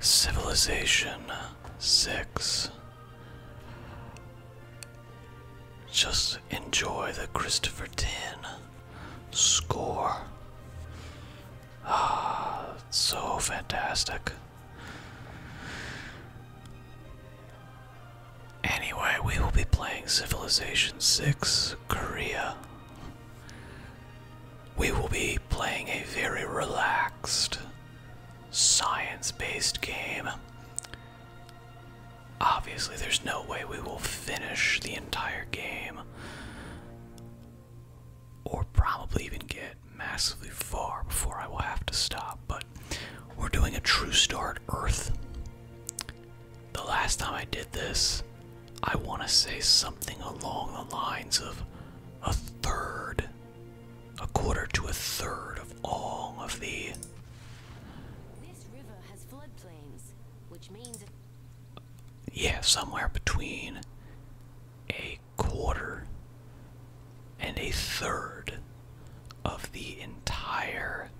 Civilization 6. Just enjoy the Christopher Tin score. Ah, so fantastic. Anyway, we will be playing Civilization 6 Korea we will be playing a very relaxed, science based game. Obviously, there's no way we will finish the entire game, or probably even get massively far before I will have to stop, but we're doing a true start Earth. The last time I did this, I want to say something along the lines of a third a quarter to a third of all of the. This river has floodplains, which means. Yeah, somewhere between a quarter and a third of the entire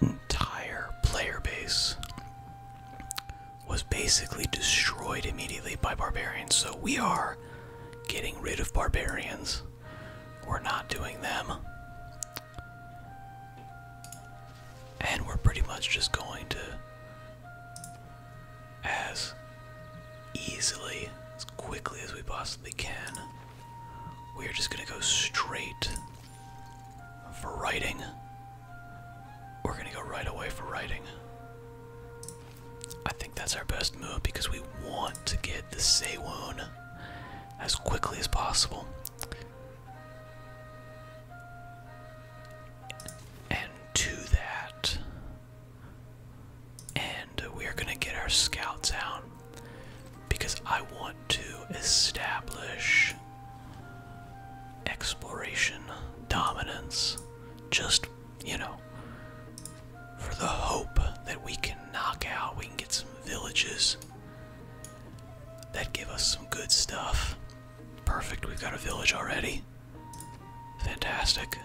entire player base was basically destroyed immediately by barbarians. So we are getting rid of barbarians. We're not doing them. And we're pretty much just going to as easily, as quickly as we possibly can. We're just going to go straight for writing. We're gonna go right away for writing. I think that's our best move because we want to get the Seiwoon as quickly as possible. And to that, and we are gonna get our scouts out because I want to establish exploration dominance just, you know, for the hope that we can knock out, we can get some villages that give us some good stuff. Perfect, we've got a village already. Fantastic.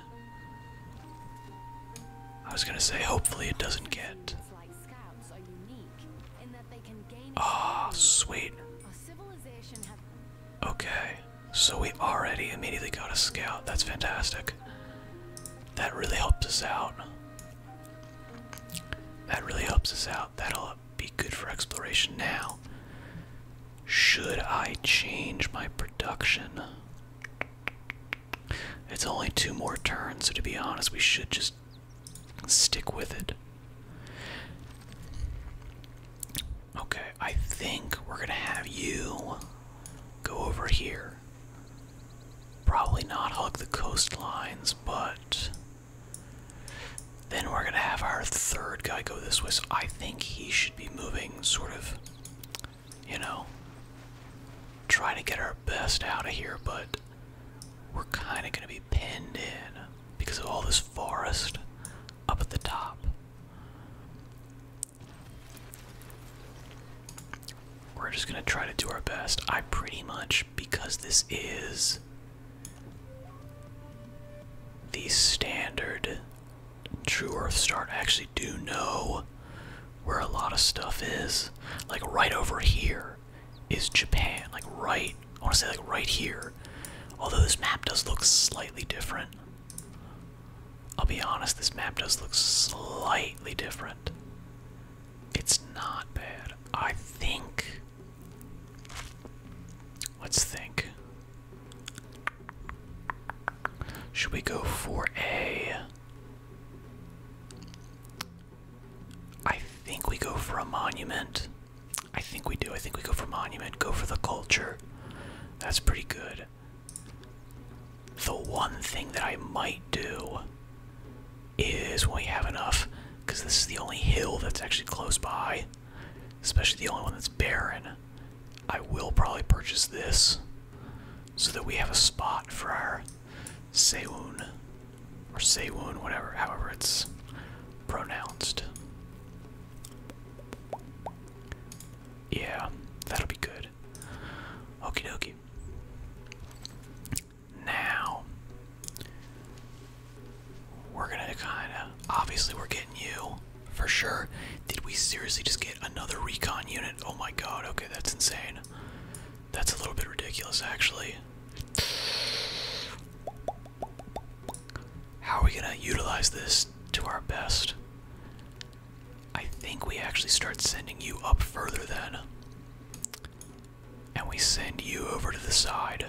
I was gonna say, hopefully, it doesn't get scouts are unique in that they can gain Ah, oh, sweet. Okay. So we already immediately got a scout. That's fantastic. That really helps us out. That really helps us out. That'll be good for exploration now. Should I change my production? It's only two more turns, so to be honest, we should just Stick with it. Okay, I think we're gonna have you go over here. Probably not hug the coastlines, but then we're gonna have our third guy go this way. So I think he should be moving sort of, you know, trying to get our best out of here, but we're kind of gonna be Pinned in because of all this forest up at the top. We're just gonna try to do our best. I pretty much, because this is the standard True Earth start, I actually do know where a lot of stuff is. Like right over here is Japan, like right, I want to say like right here. Although this map does look slightly different. I'll be honest, this map does look slightly different. It's not bad. I think. Let's think. Should we go for a. I think we go for a monument. I think we do. I think we go for monument, go for the culture. That's pretty good. The one thing that I might do is when we have enough, because this is the only hill that's actually close by, especially the only one that's barren. I will probably purchase this so that we have a spot for our Seun or Sewon, whatever, however it's pronounced. Yeah, that'll be good. Okie dokie. Now, we're gonna kinda, obviously we're getting you, for sure. Did we seriously just get another recon unit? Oh my god, okay, that's insane. That's a little bit ridiculous, actually. How are we gonna utilize this to our best? I think we actually start sending you up further then. And we send you over to the side.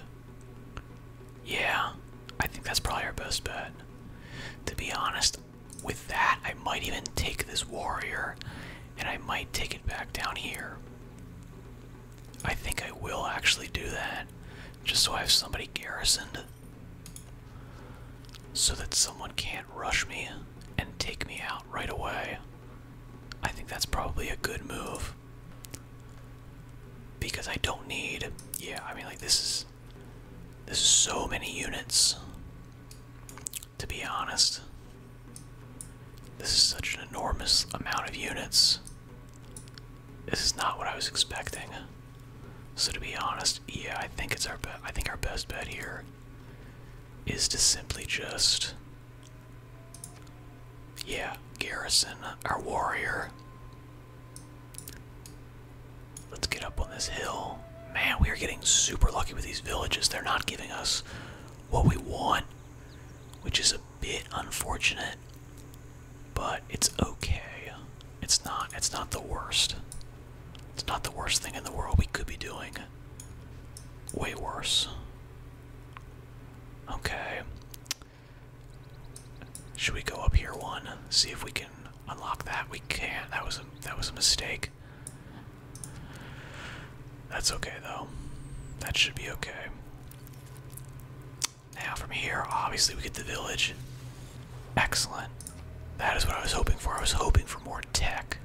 Yeah, I think that's probably our best bet. To be honest, with that, I might even take this warrior and I might take it back down here. I think I will actually do that just so I have somebody garrisoned so that someone can't rush me and take me out right away. I think that's probably a good move because I don't need yeah, I mean like this is this is so many units to be honest. This is such an enormous amount of units. This is not what I was expecting. So to be honest, yeah, I think it's our best. I think our best bet here is to simply just yeah, garrison our warrior. Let's get up on this hill. Man, we are getting super lucky with these villages. They're not giving us what we want, which is a bit unfortunate, but it's okay. It's not it's not the worst. It's not the worst thing in the world we could be doing. Way worse. Okay. Should we go up here one? See if we can unlock that. We can't. That was a that was a mistake. That's okay though. That should be okay. Now from here, obviously we get the village. Excellent. That is what I was hoping for. I was hoping for more tech.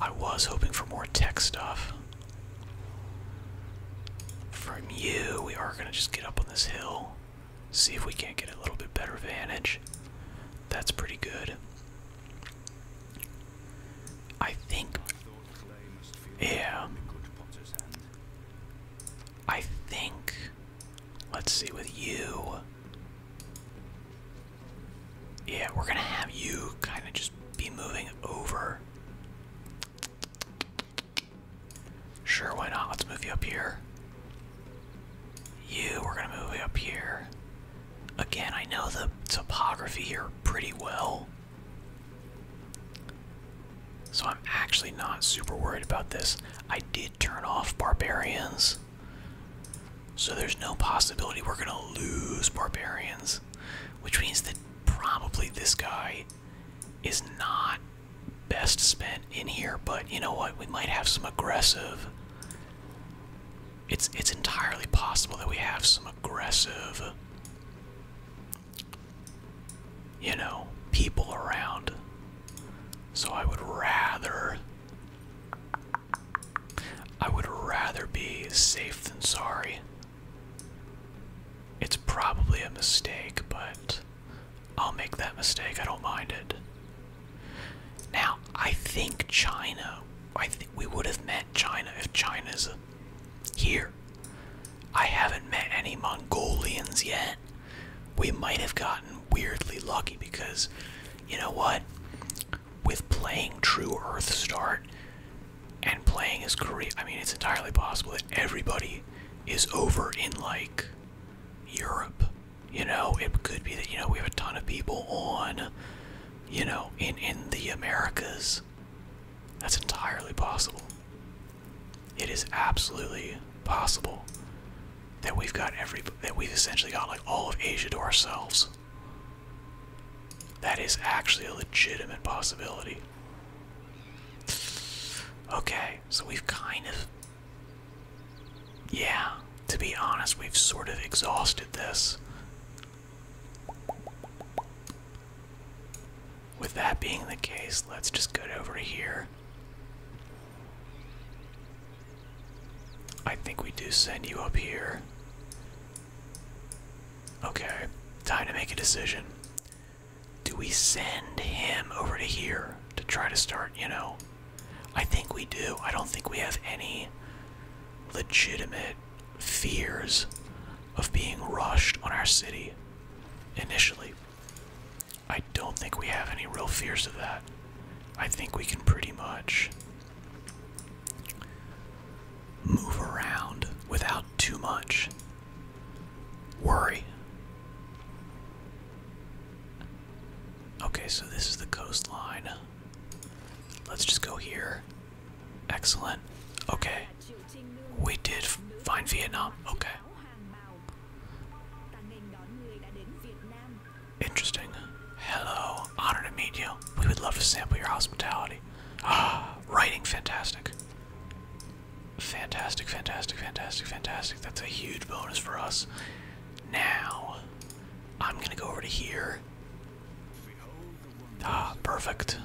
I was hoping for more tech stuff. From you, we are gonna just get up on this hill. See if we can't get a little bit better vantage. That's pretty good. I think yeah. I think. Let's see with you. Yeah, we're gonna have you kind of just be moving over. Sure, why not? Let's move you up here. You, we're gonna move you up here. Again, I know the topography here pretty well. So I'm actually not super worried about this. I did turn off barbarians. So there's no possibility we're going to lose barbarians, which means that probably this guy is not best spent in here, but you know what? We might have some aggressive It's it's entirely possible that we have some aggressive you know, people around. So I would rather I would rather be safe than sorry. It's probably a mistake, but I'll make that mistake. I don't mind it. Now, I think China, I think we would have met China if China's here. I haven't met any Mongolians yet. We might have gotten weirdly lucky because, you know what? With playing True Earth Start and playing as Korea, I mean, it's entirely possible that everybody is over in like Europe. You know, it could be that, you know, we have a ton of people on, you know, in, in the Americas. That's entirely possible. It is absolutely possible that we've got every that we've essentially got like all of Asia to ourselves. That is actually a legitimate possibility. Okay, so we've kind of Yeah, to be honest, we've sort of exhausted this. With that being the case, let's just go over here. I think we do send you up here. Okay, time to make a decision. Do we send him over to here to try to start, you know? I think we do. I don't think we have any legitimate fears of being rushed on our city initially. I don't think we have any real fears of that. I think we can pretty much move around without too much worry. Okay, so this is the coastline. Let's just go here. Excellent. Okay. We did find Vietnam. Okay. Interesting. Hello. Honor to meet you. We would love to sample your hospitality. Ah, writing fantastic. Fantastic, fantastic, fantastic, fantastic. That's a huge bonus for us. Now, I'm gonna go over to here. Ah, perfect.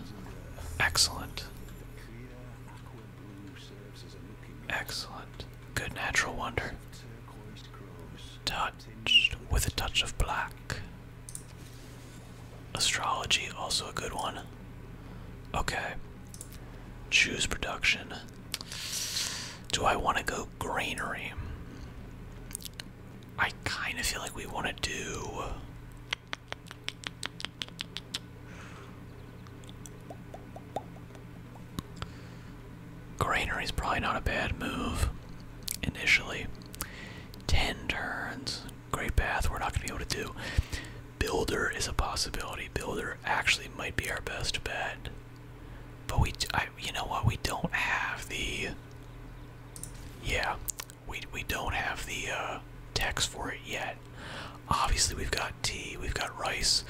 Excellent. Excellent. Good natural wonder. Touched with a touch of black. Astrology, also a good one. Okay. Choose production. Do I want to go greenery? I kind of feel like we want to do Grainer is probably not a bad move initially. 10 turns. Great path, we're not going to be able to do. Builder is a possibility. Builder actually might be our best bet. But we, I, you know what, we don't have the. Yeah, we we don't have the uh, text for it yet. Obviously, we've got tea, we've got rice,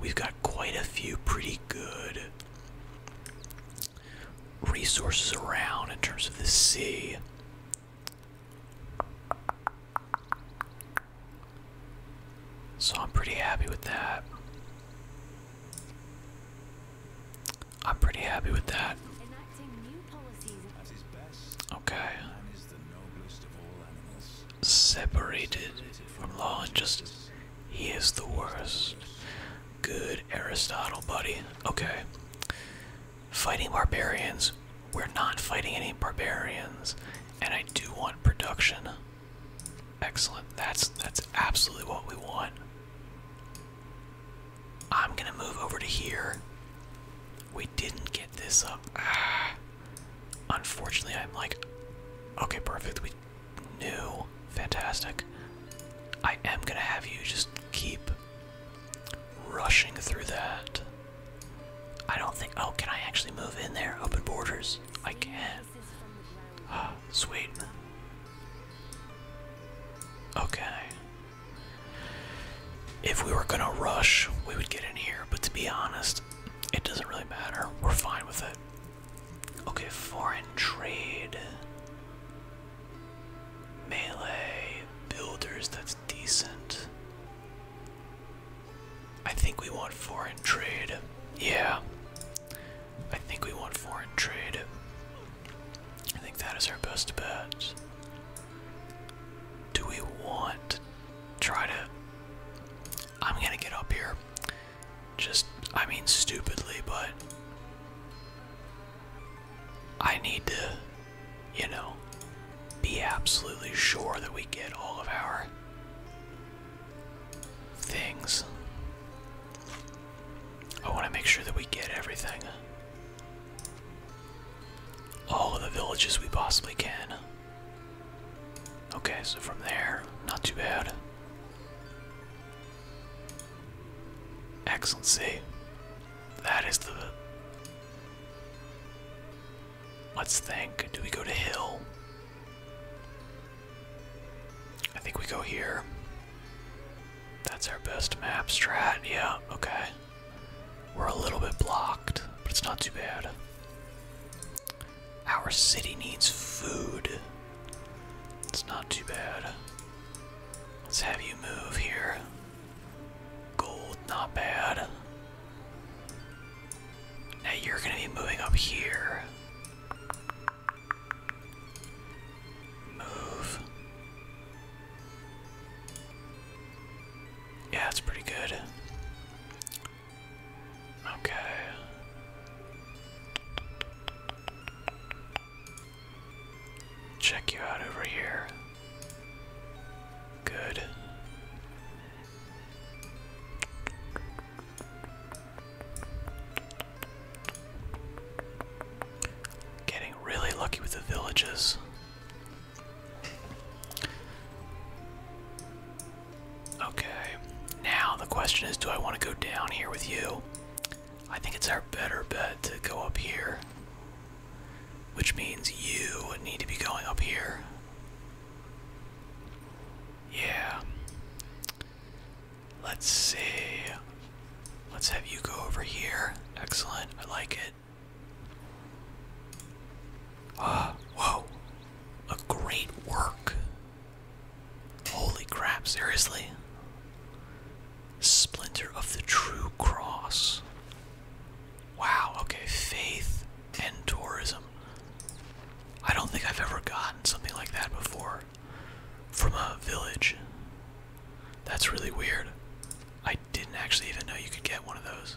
we've got quite a few pretty good resources around in terms of the sea. So I'm pretty happy with that. I'm pretty happy with that. Okay. Separated from law and justice, he is the worst. Good Aristotle, buddy. Okay. Fighting barbarians. We're not fighting any barbarians, and I do want production. Excellent. That's that's absolutely what we want. I'm gonna move over to here. We didn't get this up. Ah. Unfortunately, I'm like, okay, perfect. We knew. Fantastic. I am gonna have you just keep rushing through that. I don't think. Oh, can I actually move in there? Open borders. I can. Ah, sweet. Okay. If we were gonna rush, we would get in here, but to be honest, it doesn't really matter. We're fine with it. Okay, foreign trade. Melee. Builders, that's decent. I think we want foreign trade. Yeah. I think we want foreign trade. I think that is our best bet. Do we want try to. I'm gonna get up here. Just, I mean, stupidly, but. I need to, you know, be absolutely sure that we get all of our things. I want to make sure that we get everything all of the villages we possibly can. Okay, so from there, not too bad. Excellency. That is the. Let's think. Do we go to Hill? I think we go here. That's our best map strat. Yeah, okay. We're a little bit blocked, but it's not too bad. Our city needs food. It's not too bad. Let's have you move here. Gold, not bad. Now you're gonna be moving up here. Move. Yeah, it's pretty good. Okay. Check you out over here. Good. Getting really lucky with the villages. Okay, now the question is do I want to go down here with you? I think it's our better bet to go up here, which means you would need to be going up here. Yeah. Let's see. Let's have you go over here. Excellent. I like it. Ah, whoa. A great work. Holy crap, seriously? Splinter of the True Cross. Wow, okay, faith and tourism. I don't think I've ever gotten something like that before from a village. That's really weird. I didn't actually even know you could get one of those.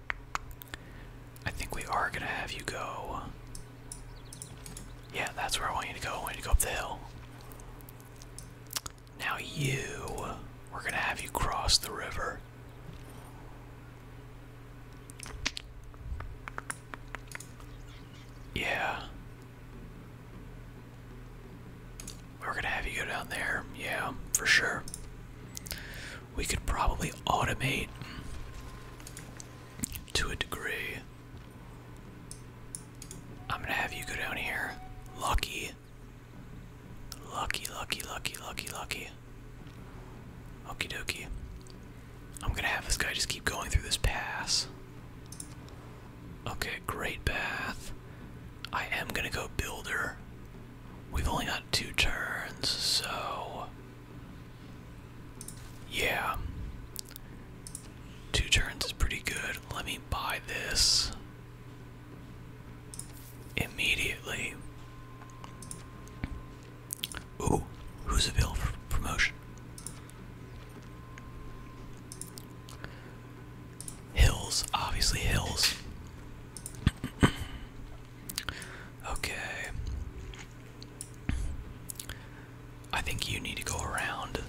I think we are gonna have you go. Yeah, that's where I want you to go. I want you to go up the hill. Now you, we're gonna have you cross the river. Yeah. We're gonna have you go down there, yeah, for sure we could probably automate to a degree. I'm gonna have you go down here. Lucky. Lucky, lucky, lucky, lucky, lucky. Okie dokie. I'm gonna have this guy just keep going through this pass. Okay, great path. I am gonna go builder. We've only got two turns, so yeah. Two turns is pretty good. Let me buy this immediately. Ooh, who's available for promotion? Hills, obviously Hills. Okay. I think you need to go around.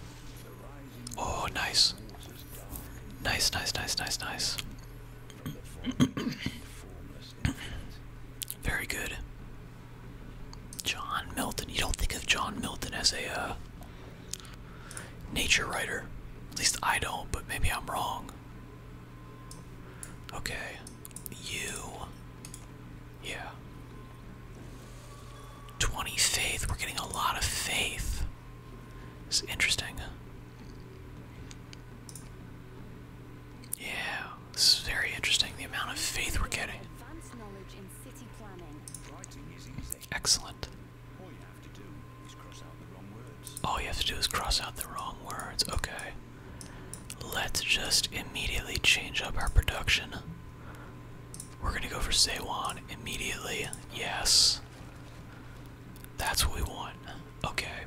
Oh, nice. Nice, nice, nice, nice, nice. Very good. John Milton. You don't think of John Milton as a uh, nature writer. At least I don't, but maybe I'm wrong. Okay. You. Yeah. 20 faith. We're getting a lot of faith. It's interesting. Yeah, this is very interesting. The amount of faith we're getting. Excellent. All you have to do is cross out the wrong words. Okay. Let's just immediately change up our production. We're gonna go for Seiwan immediately. Yes. That's what we want. Okay.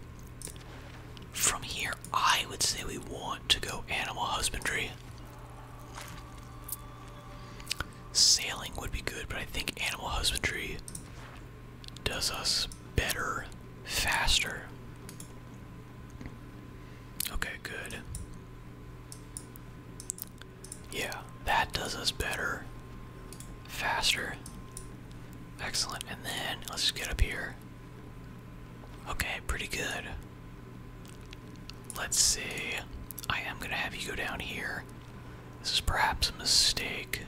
From here, I would say we want to go animal husbandry. Sailing would be good, but I think animal husbandry does us better, faster. Okay, good. Yeah, that does us better, faster. Excellent. And then let's just get up here. Okay, pretty good. Let's see. I am going to have you go down here. This is perhaps a mistake.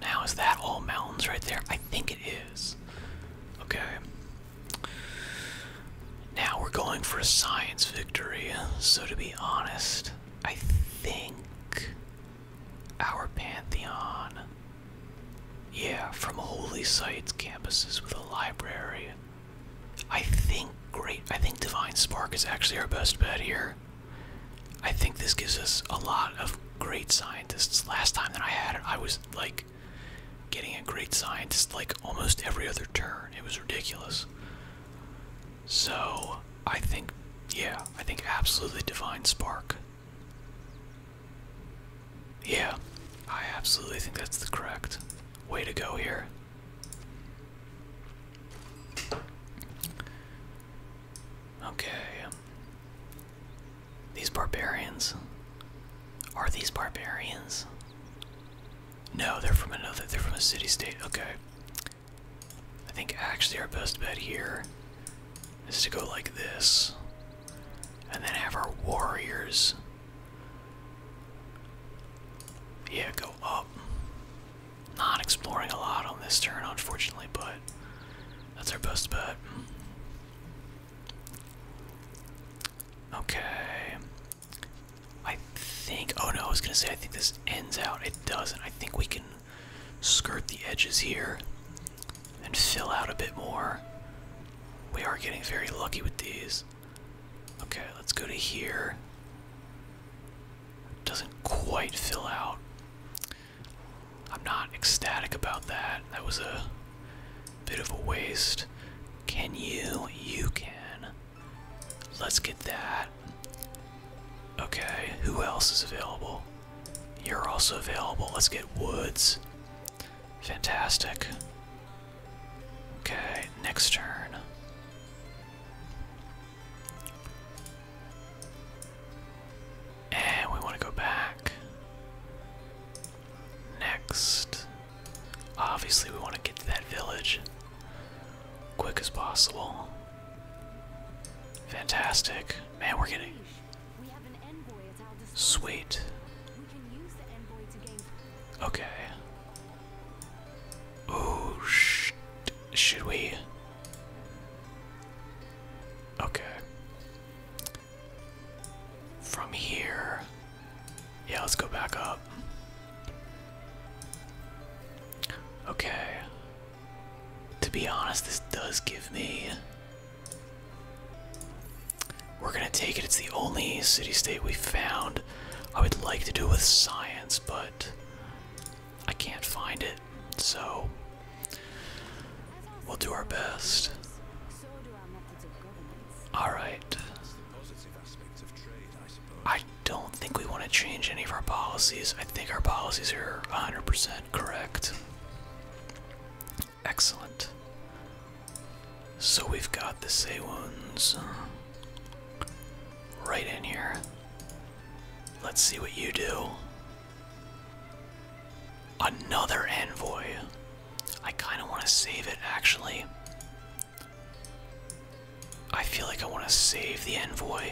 Now, is that all mountains right there? I think it is. Okay. Now we're going for a science victory, so to be honest, I think our Pantheon. Yeah, from holy sites campuses with a library. I think great. I think Divine Spark is actually our best bet here. I think this gives us a lot of great scientists. Last time that I had it, I was like getting a great scientist like almost every other turn. It was ridiculous. So I think, yeah, I think absolutely Divine Spark. Yeah, I absolutely think that's the correct way to go here. Okay. These barbarians. Are these barbarians? No, they're from another. They're from a city state. Okay. I think actually our best bet here is to go like this. And then have our warriors. Yeah, go up not exploring a lot on this turn, unfortunately, but that's our best bet. Okay. I think. Oh no, I was gonna say, I think this ends out. It doesn't. I think we can skirt the edges here and fill out a bit more. We are getting very lucky with these. Okay, let's go to here. Doesn't quite fill out. I'm not ecstatic about that. That was a bit of a waste. Can you? You can. Let's get that. Okay, who else is available? You're also available. Let's get Woods. Fantastic. Okay, next turn. And we want to go back. Next. Obviously, we want to get to that village quick as possible. Fantastic. Man, we're getting. Sweet. Okay. Oh, sh should we? Okay. From here, yeah, let's go back up. Okay. To be honest, this does give me. We're gonna take it. It's the only city state we found. I would like to do with science, but I can't find it, so we'll do our best. Alright. I don't think we want to change any of our policies. I think our policies are 100% correct. Excellent. So we've got the Seiwons uh, right in here. Let's see what you do. Another envoy. I kind of want to save it actually. I feel like I want to save the envoy.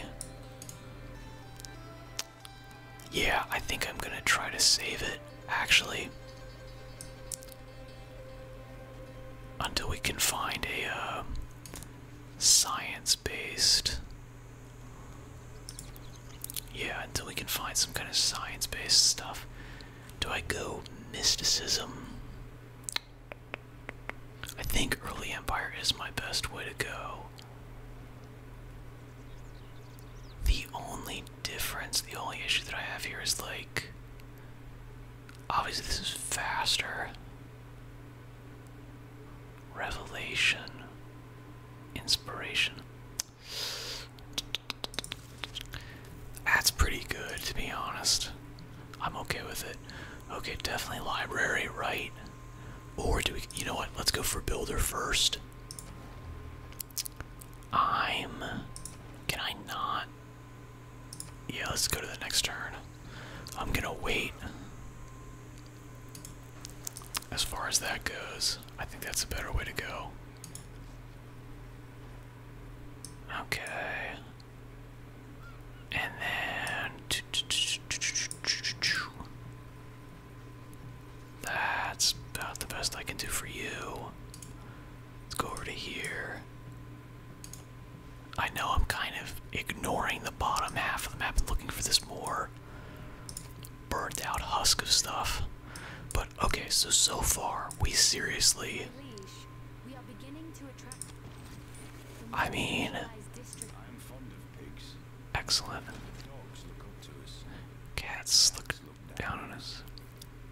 Yeah, I think I'm going to try to save it actually. Until we can find a uh, science based yeah, until we can find some kind of science based stuff. Do I go mysticism? I think early empire is my best way to go. The only difference, the only issue that I have here is like. Obviously, this is faster. Revelation. Inspiration. That's pretty good, to be honest. I'm okay with it. Okay, definitely library, right? Or do we. You know what? Let's go for builder first. I'm. Can I not? Yeah, let's go to the next turn. I'm gonna wait. As far as that goes, I think that's a better way to go. Okay. And then that's about the best I can do for you. Let's go over to here. I know I'm kind of ignoring the bottom half of the map and looking for this more burnt out husk of stuff. But okay, so so far we seriously I mean Excellent. Cats look down on us.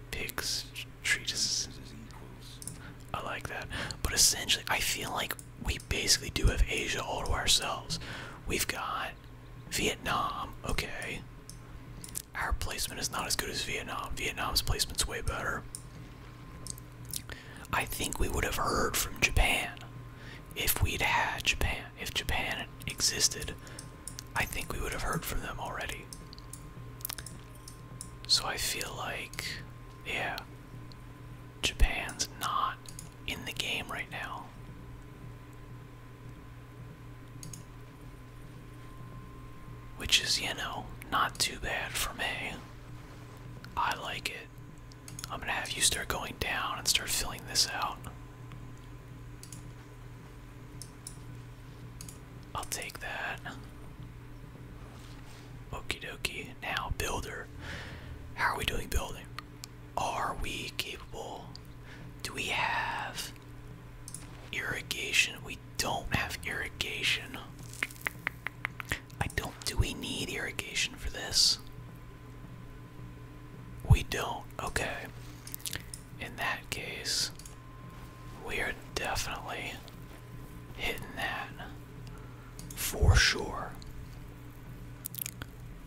Pigs treat us. I like that. But essentially I feel like we basically do have Asia all to ourselves. We've got Vietnam, okay. Our placement is not as good as Vietnam. Vietnam's placement's way better. I think we would have heard from Japan if we'd had Japan. If Japan existed, I think we would have heard from them already. So I feel like, yeah, Japan's not in the game right now. Which is, you know, not too bad for me. I like it. I'm gonna have you start going down and start filling this out. I'll take that. Okie dokie. Now, builder. How are we doing building? Are we capable? Do we have irrigation? We don't have irrigation. I don't. Do we need irrigation for this? We don't. Okay. In that case, we are definitely hitting that for sure.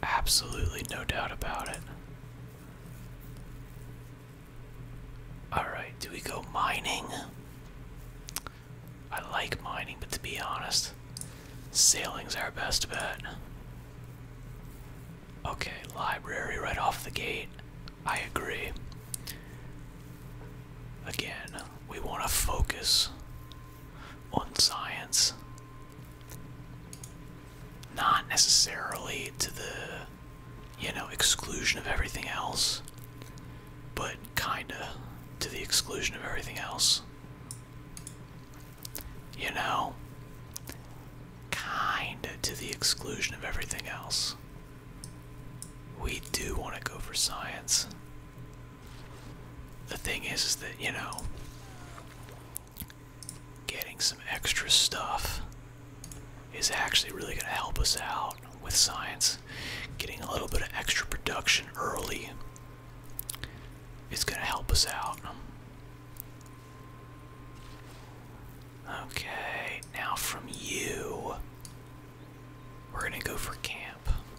Absolutely no doubt about it. Alright, do we go mining? I like mining, but to be honest, sailing's our best bet. Okay, library right off the gate. I agree. Again, we want to focus on science. Not necessarily to the, you know, exclusion of everything else, but kinda to the exclusion of everything else. You know? Kinda to the exclusion of everything else. We do want to go for science the thing is, is that, you know, getting some extra stuff is actually really going to help us out with science. Getting a little bit of extra production early is going to help us out. Okay, now from you, we're going to go for camp.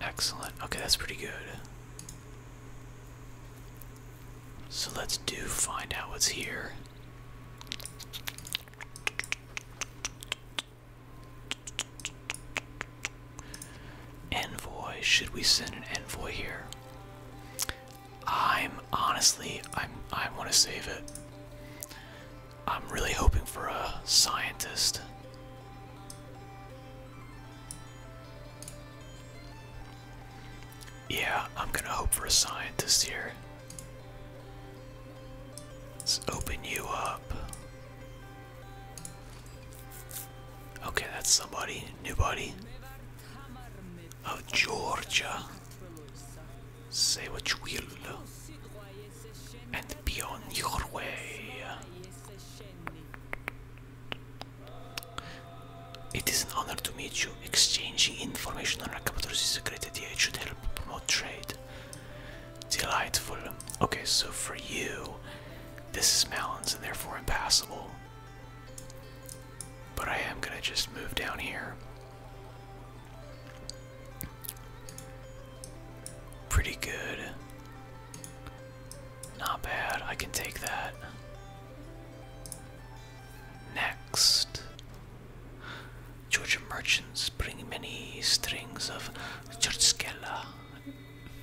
Excellent. Okay, that's pretty good. So let's do find out what's here. Envoy. Should we send an envoy here? I'm honestly, I'm I want to save it. I'm really hoping for a scientist. Yeah, I'm gonna hope for a scientist here. Let's open you up. Okay, that's somebody, new Body Of Georgia. Say what you will and be on your way. It is an honor to meet you. Exchanging information on our Rakapatros is a great idea. It should help promote trade. Delightful. Okay, so for you, this is mountains and therefore impassable. But I am gonna just move down here. Pretty good. Not bad. I can take that. Next. Georgia merchants bring many strings of churchskella.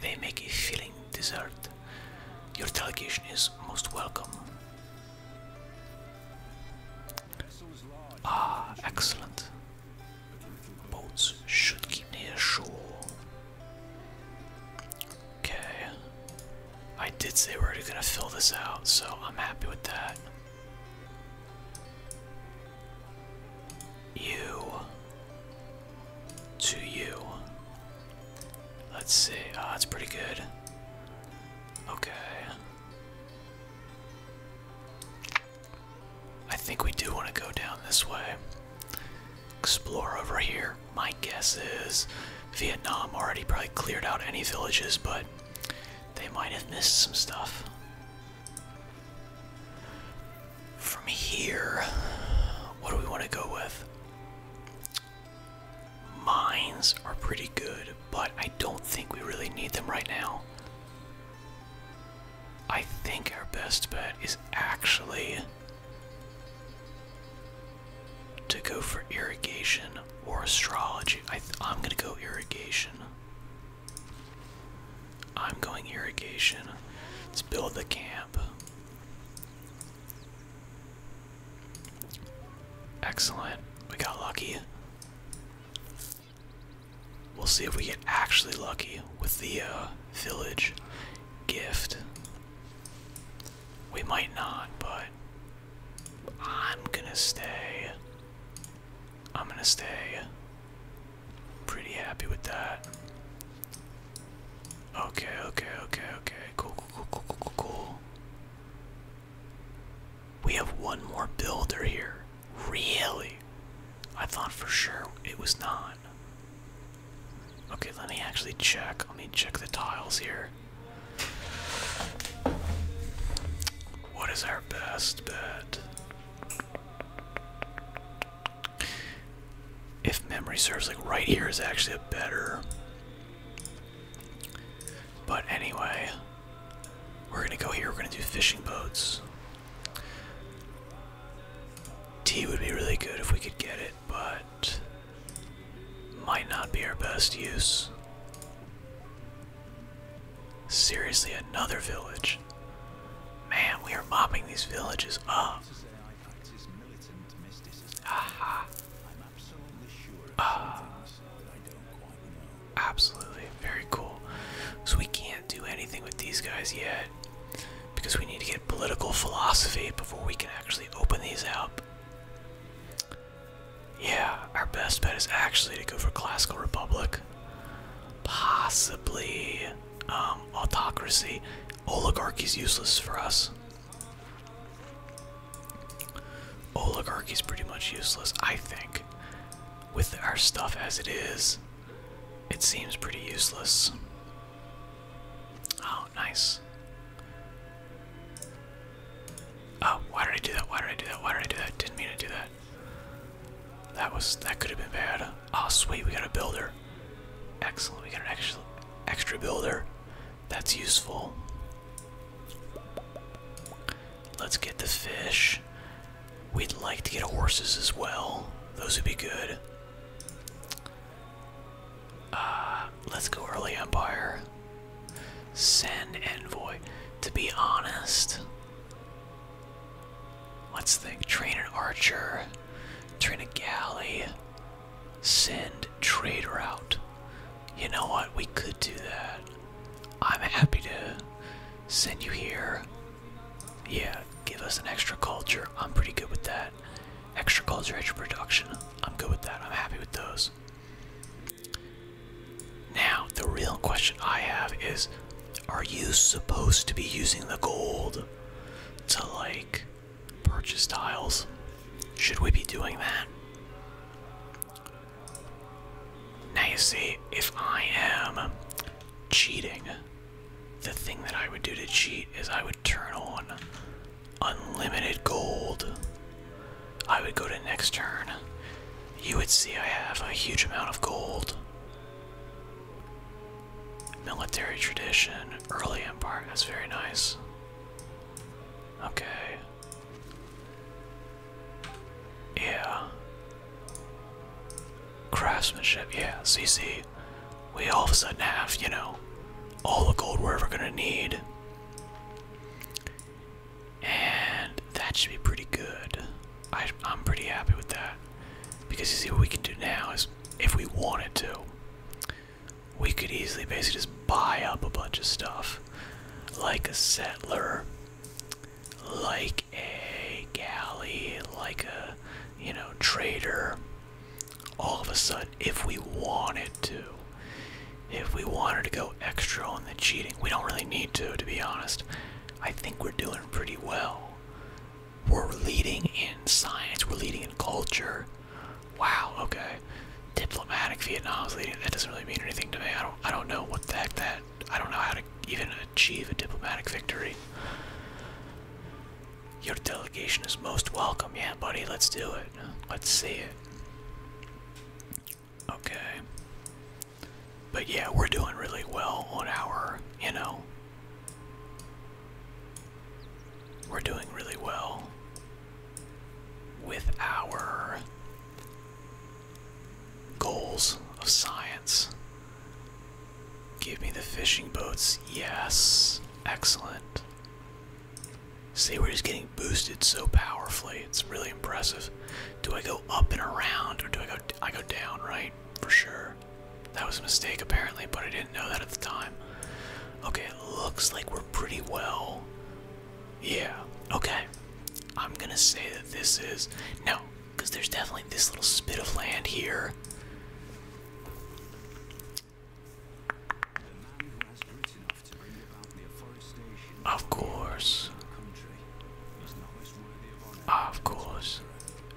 They make a filling dessert. Your delegation is most welcome. Ah, excellent. Boats should keep near shore. Okay. I did say we're gonna fill this out, so I'm happy with that. You. To you. Let's see. Ah, oh, that's pretty good. Okay. I think we do want to go down this way. Explore over here. My guess is Vietnam already probably cleared out any villages, but they might have missed some stuff. From here, what do we want to go with? Mines are pretty good, but I don't think we really need them right now. I think our best bet is actually to go for irrigation or astrology. I am going to go irrigation. I'm going irrigation. Let's build the camp. Excellent. We got lucky. We'll see if we get actually lucky with the uh, village gift. We might not, but I'm gonna stay. I'm gonna stay. Pretty happy with that. Okay, okay, okay, okay. Cool, cool, cool, cool, cool, cool. We have one more builder here. Really? I thought for sure it was not. Okay, let me actually check. Let me check the tiles here. What is our best bet? If memory serves, like right here is actually a better. But anyway, we're gonna go here. We're gonna do fishing boats. Tea would be really good if we could get it, but might not be our best use. Seriously, another village. Man, we are mopping these villages up. Aha. Uh, absolutely, very cool. So we can't do anything with these guys yet because we need to get political philosophy before we can actually open these up. Yeah, our best bet is actually to go for classical republic, possibly um, autocracy. Oligarchy's useless for us. Oligarchy's pretty much useless, I think, with our stuff as it is. It seems pretty useless. Oh, nice. Oh, why did I do that? Why did I do that? Why did I do that? Didn't mean to do that. That was that could have been bad. Oh, sweet, we got a builder. Excellent, we got an extra extra builder. That's useful. Let's get the fish. We'd like to get horses as well. Those would be good. Uh, let's go early Empire. Send envoy. To be honest, let's think. Train an archer. Train a galley. Send trade route. You know what? We could do that. I'm happy to send you here. Yeah, give us an extra culture. I'm pretty good with that. Extra culture, extra production. I'm good with that. I'm happy with those. Now, the real question I have is Are you supposed to be using the gold to like purchase tiles? Should we be doing that? Now you see, if I am cheating the thing that I would do to cheat is I would turn on unlimited gold. I would go to next turn. You would see I have a huge amount of gold. Military tradition, early empire, that's very nice. Okay. Yeah. Craftsmanship, yeah, See, see, We all of a sudden have, you know, all the gold we're ever gonna need. And that should be pretty good. I'm pretty happy with that. Because you see, what we can do now is, if we wanted to, we could easily basically just buy up a bunch of stuff. Like a settler, like a galley, like a you know, trader. All of a sudden, if we wanted to, if we wanted to go extra on the cheating, we don't really need to, to be honest. I think we're doing pretty well. We're leading in science, we're leading in culture. Wow, okay. Diplomatic Vietnam's leading. That doesn't really mean anything to me. I don't I don't know what the heck that I don't know how to even achieve a diplomatic victory. Your delegation is most welcome. Yeah, buddy, let's do it. Let's see it. Okay. But yeah, we're doing really well on our, you know. We're doing really well with our goals of science Give me the fishing boats. Yes. Excellent. See, we're just getting boosted so powerfully. It's really impressive. Do I go up and around or do I go I go down, right? For sure. That was a mistake apparently, but I didn't know that at the time. Okay, looks like we're pretty well. Yeah. Okay. I'm gonna say that this is no, because there's definitely this little spit of land here. Of course. Of course.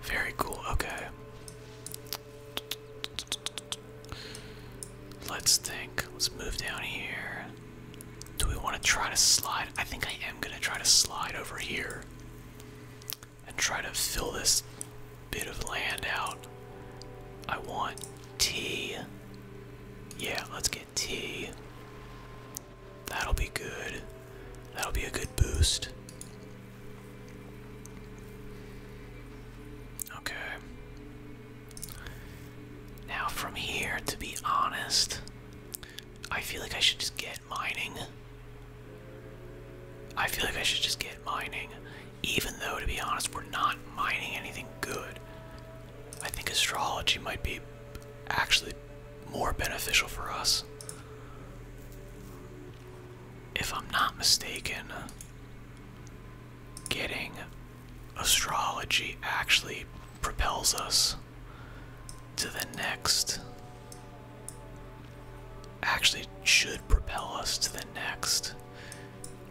Very cool, okay. Let's think. Let's move down here. Do we want to try to slide? I think I am going to try to slide over here and try to fill this bit of land out. I want tea. Yeah, let's get tea. That'll be good. That'll be a good boost. Okay. Now, from here, to be honest, I feel like I should just get mining. I feel like I should just get mining. Even though, to be honest, we're not mining anything good. I think astrology might be actually more beneficial for us. If I'm not mistaken, getting astrology actually propels us to the next actually should propel us to the next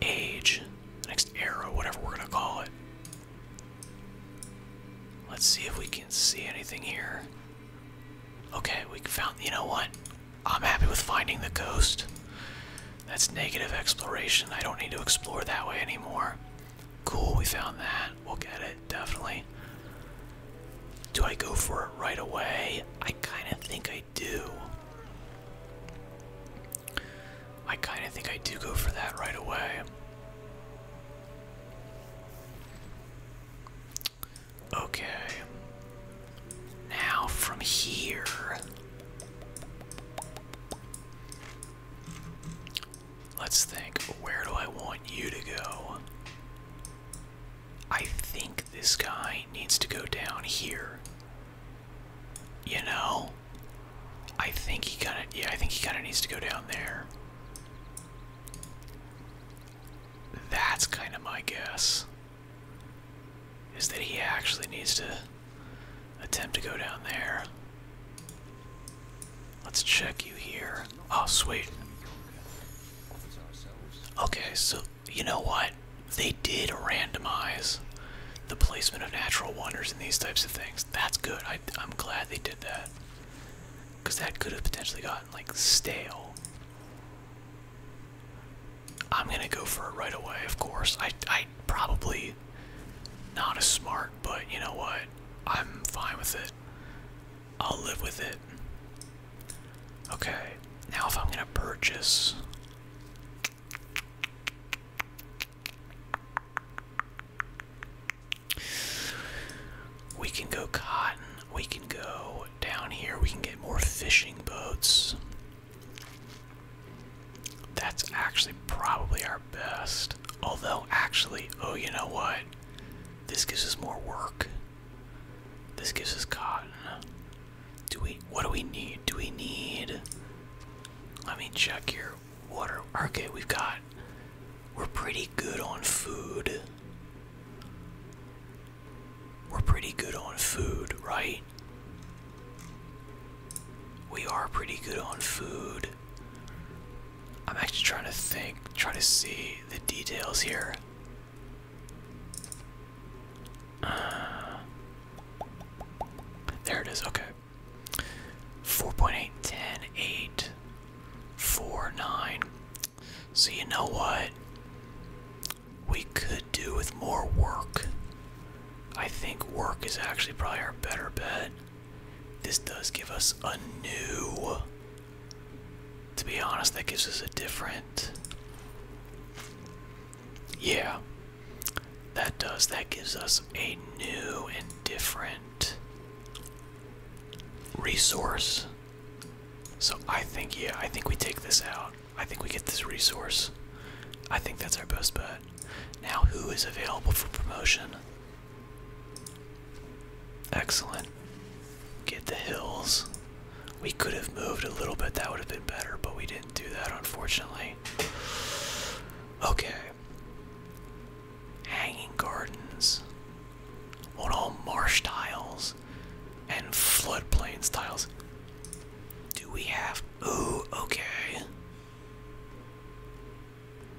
age, the next era, whatever we're gonna call it. Let's see if we can see anything here. Okay, we found, you know what? I'm happy with finding the ghost. That's negative exploration. I don't need to explore that way anymore. Cool, we found that. We'll get it, definitely. Do I go for it right away? I kind of think I do. I kind of think I do go for that right away. Okay. Now from here. Let's think, where do I want you to go? I think this guy needs to go down here. You know? I think he kinda yeah, I think he kinda needs to go down there. That's kinda my guess. Is that he actually needs to attempt to go down there. Let's check you here. Oh sweet. Okay, so you know what? They did randomize the placement of natural wonders and these types of things. That's good. I, I'm glad they did that. Because that could have potentially gotten, like, stale. I'm gonna go for it right away, of course. I, I probably not as smart, but you know what? I'm fine with it. I'll live with it. Okay, now if I'm gonna purchase. We can go cotton, we can go down here, we can get more fishing boats. That's actually probably our best. Although, actually, oh, you know what? This gives us more work. This gives us cotton. Do we? What do we need? Do we need? Let me check here. Water. Okay, we've got. We're pretty good on food. We're pretty good on food, right? We are pretty good on food. I'm actually trying to think, try to see the details here. Uh, there it is, okay. 4.8, 10, So you know what? We could do with more work. I think work is actually probably our better bet. This does give us a new to be honest, that gives us a different. Yeah, that does. That gives us a new and different resource. So I think, yeah, I think we take this out. I think we get this resource. I think that's our best bet. Now, who is available for promotion? Excellent. Get the hills. We could have moved a little bit, that would have been better, but we didn't do that, unfortunately. Okay. Hanging gardens. On all marsh tiles and floodplains tiles. Do we have. Ooh, okay.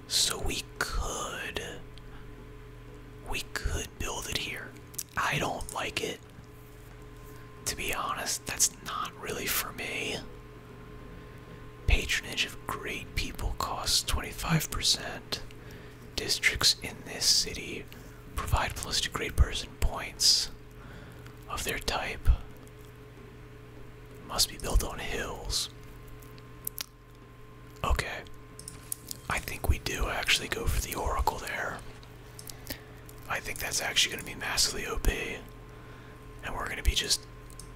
So we could. We could build it here. I don't like it. To be honest, that's not really for me. Patronage of great people costs 25%. Districts in this city provide plus two great person points of their type. Must be built on hills. Okay, I think we do actually go for the Oracle there. I think that's actually going to be massively OP. And we're going to be just.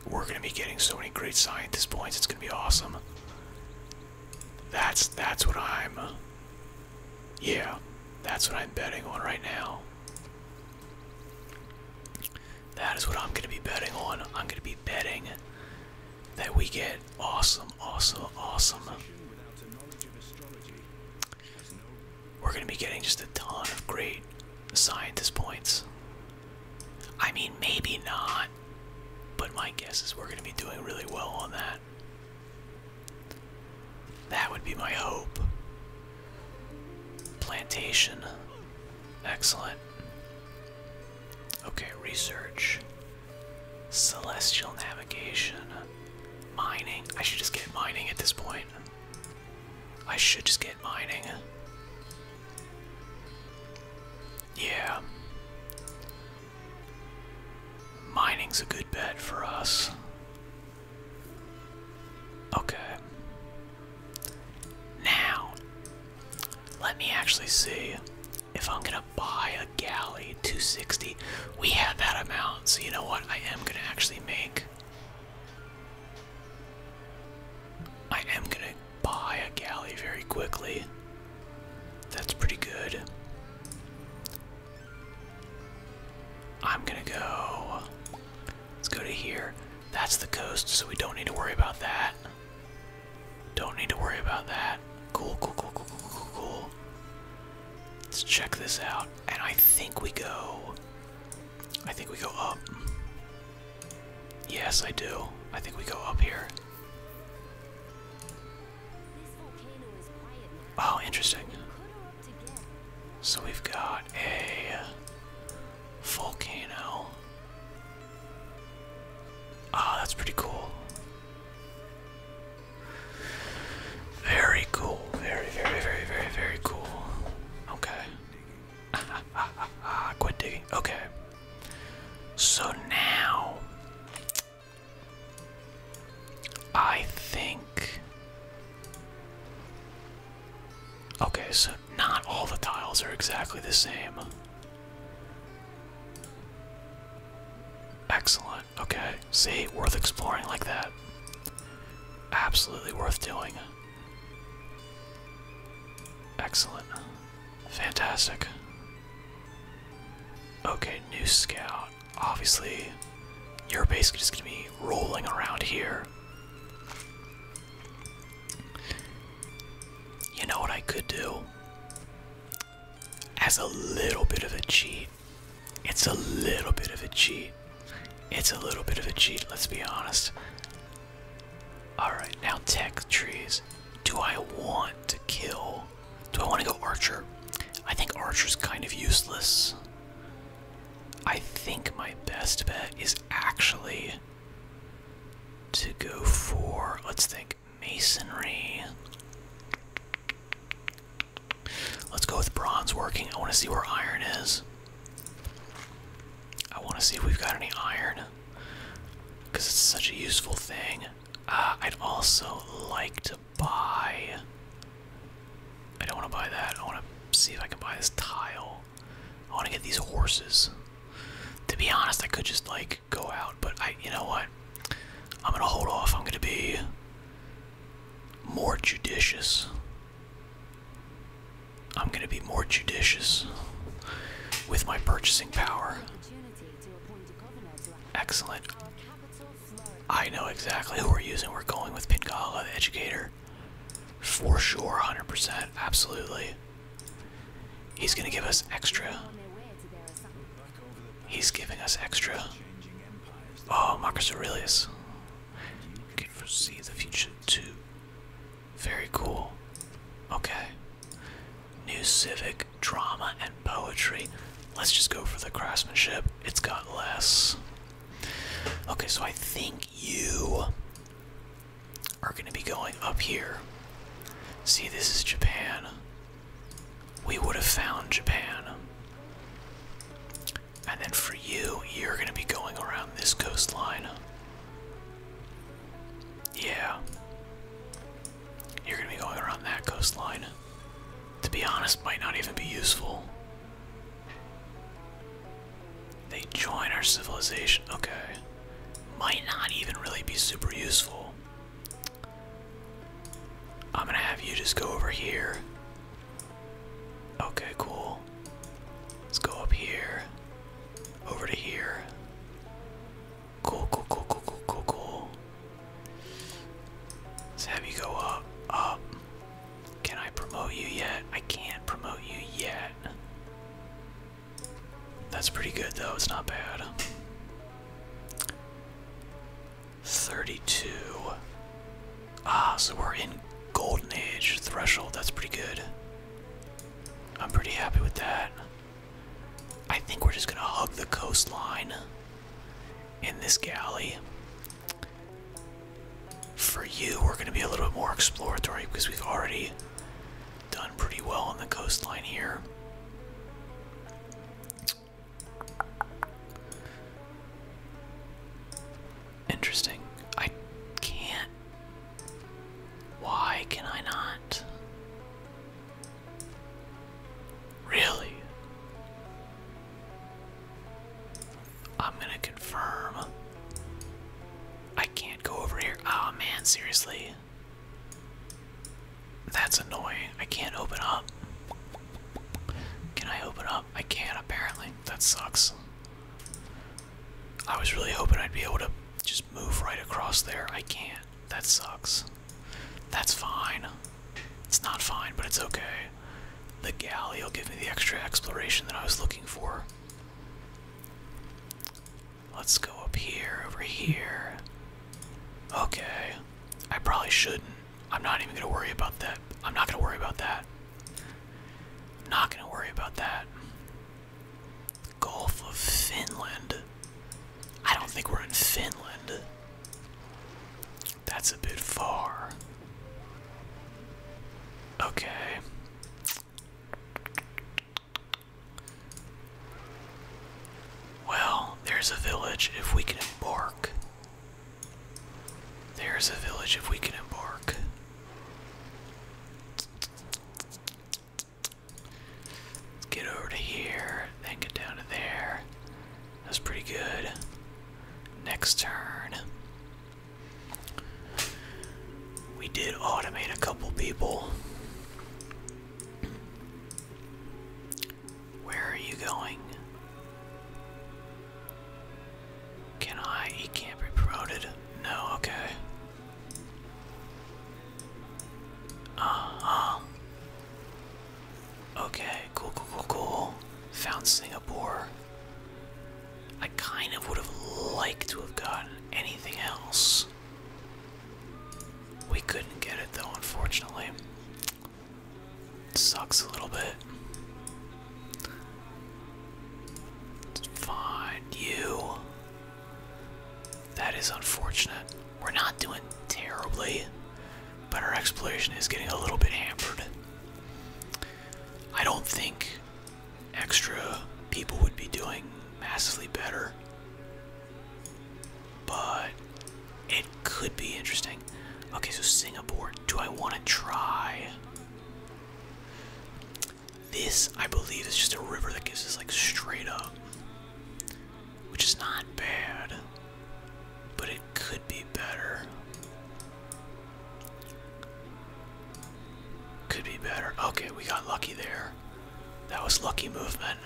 We're going to be getting so many great scientist points. It's going to be awesome. That's that's what I'm. Yeah, that's what I'm betting on right now. That is what I'm going to be betting on. I'm going to be betting that we get Awesome, awesome, awesome. We're gonna be getting just a ton of great scientist points. I mean, maybe not, but my guess is we're gonna be doing really well on that. That would be my hope. Plantation. Excellent. Okay, research. Celestial navigation. Mining. I should just get mining at this point. I should just get mining. Yeah. Mining's a good bet for us. Okay. Now, let me actually see if I'm gonna buy a galley 260, we have that amount, so you know what? I am gonna actually make. I am gonna buy a galley very quickly. That's pretty good. I'm gonna go. Let's go to here. That's the coast, so we don't need to worry about that. Don't need to worry about that. Cool, cool, cool, cool, cool, cool, Let's check this out. And I think we go. I think we go up. Yes, I do. I think we go up here. Oh, interesting. So we've got a volcano. Ah, that's pretty cool. Very cool. Very, very, very, very, very cool. Okay. Quit digging. Okay. So now. I think. Okay, so not all the tiles are exactly the same. Excellent. Okay, see, worth exploring like that. Absolutely worth doing. Excellent. Fantastic. Okay, new scout. Obviously, you're basically just gonna be rolling around here. You know what I could do? As a little bit of a cheat, it's a little bit of a cheat. It's a little bit of a cheat, let's be honest. Alright, now tech trees. Do I want to kill? Do I want to go archer? I think archer's kind of useless. I think my best bet is actually to go for, let's think, masonry. Let's go with bronze working. I want to see where iron is. I want to see if we've got any iron because it's such a useful thing. Uh, I'd also like to buy. I don't want to buy that. I want to see if I can buy this tile. I want to get these horses. To be honest, I could just like go out, but I, you know what? I'm gonna hold off. I'm gonna be more judicious. I'm going to be more judicious with my purchasing power. Excellent. I know exactly who we're using. We're going with Pincala, the educator. For sure, 100%. Absolutely. He's going to give us extra He's giving us extra. Oh, Marcus Aurelius. You can foresee the future too. Very cool. Okay. New civic drama and poetry. Let's just go for the craftsmanship. It's got less. Okay, so I think you are going to be going up here. See, this is Japan we would have found Japan. And then for you, you're going to be going around this coastline. Yeah. You're going to be going around that coastline. To be honest, might not even be useful. They join our civilization. Okay. Might not even really be super useful. I'm gonna have you just go over here. Okay, cool. Let's go up here. Over to here. Cool, cool, cool, cool, cool, cool, cool. Let's have you go up, up. Can I promote you yet? I can't promote you yet. That's pretty good though, it's not bad. 32. Ah, so we're in Golden Age threshold. That's pretty good. I'm pretty happy with that. I think we're just gonna hug the coastline in this galley. For you, we're gonna be a little bit more exploratory because we've already done pretty well on the coastline here. Interesting. I can't. Why can I not? Really? I'm gonna confirm. I can't go over here. Oh man, seriously. That's annoying. I can't open up. Can I open up? I can't, apparently. That sucks. I was really hoping I'd be able to just move right across there. I can't. That sucks. That's fine. It's not fine, but it's okay. The galley will give me the extra exploration that I was looking for. Let's go up here, over here. Okay. I probably shouldn't. I'm not even gonna worry about that. I'm not gonna worry about that. I'm not gonna worry about that. Gulf of Finland. I don't think we're in Finland. That's a bit far. Okay. Well, there's a village if we can embark. There's a village if we can embark. Let's get over to here, then get down to there. That's pretty good. Next turn. We did automate a couple people. Where are you going? Can I? He can't be promoted. No, okay. uh Okay, cool, cool, cool, cool. Found Singapore. I kind of would have liked to have gotten anything else. We couldn't get it though, unfortunately. It sucks a little bit. fine, you. That is unfortunate. We're not doing terribly, but our exploration is getting a little bit hampered. I don't think extra people would be doing massively better, but it could be interesting. Okay, so Singapore. Do I want to try? This, I believe, is just a river that gives us like straight up, which is not bad, but it could be better. Could be better. Okay, we got lucky there. That was lucky movement.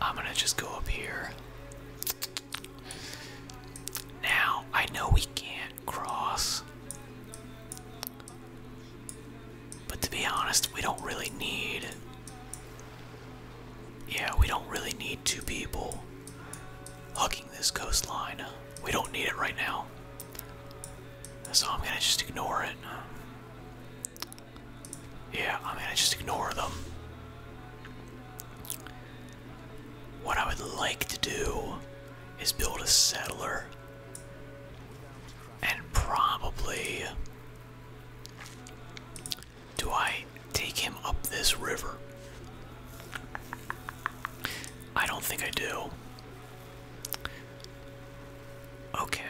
I'm gonna just go up here. Now, I know we can't cross. But to be honest, we don't really need. Yeah, we don't really need two people hugging this coastline. We don't need it right now. So I'm gonna just ignore it. Yeah, I mean, I just ignore them. What I would like to do is build a settler and probably. Do I take him up this river? I don't think I do. Okay.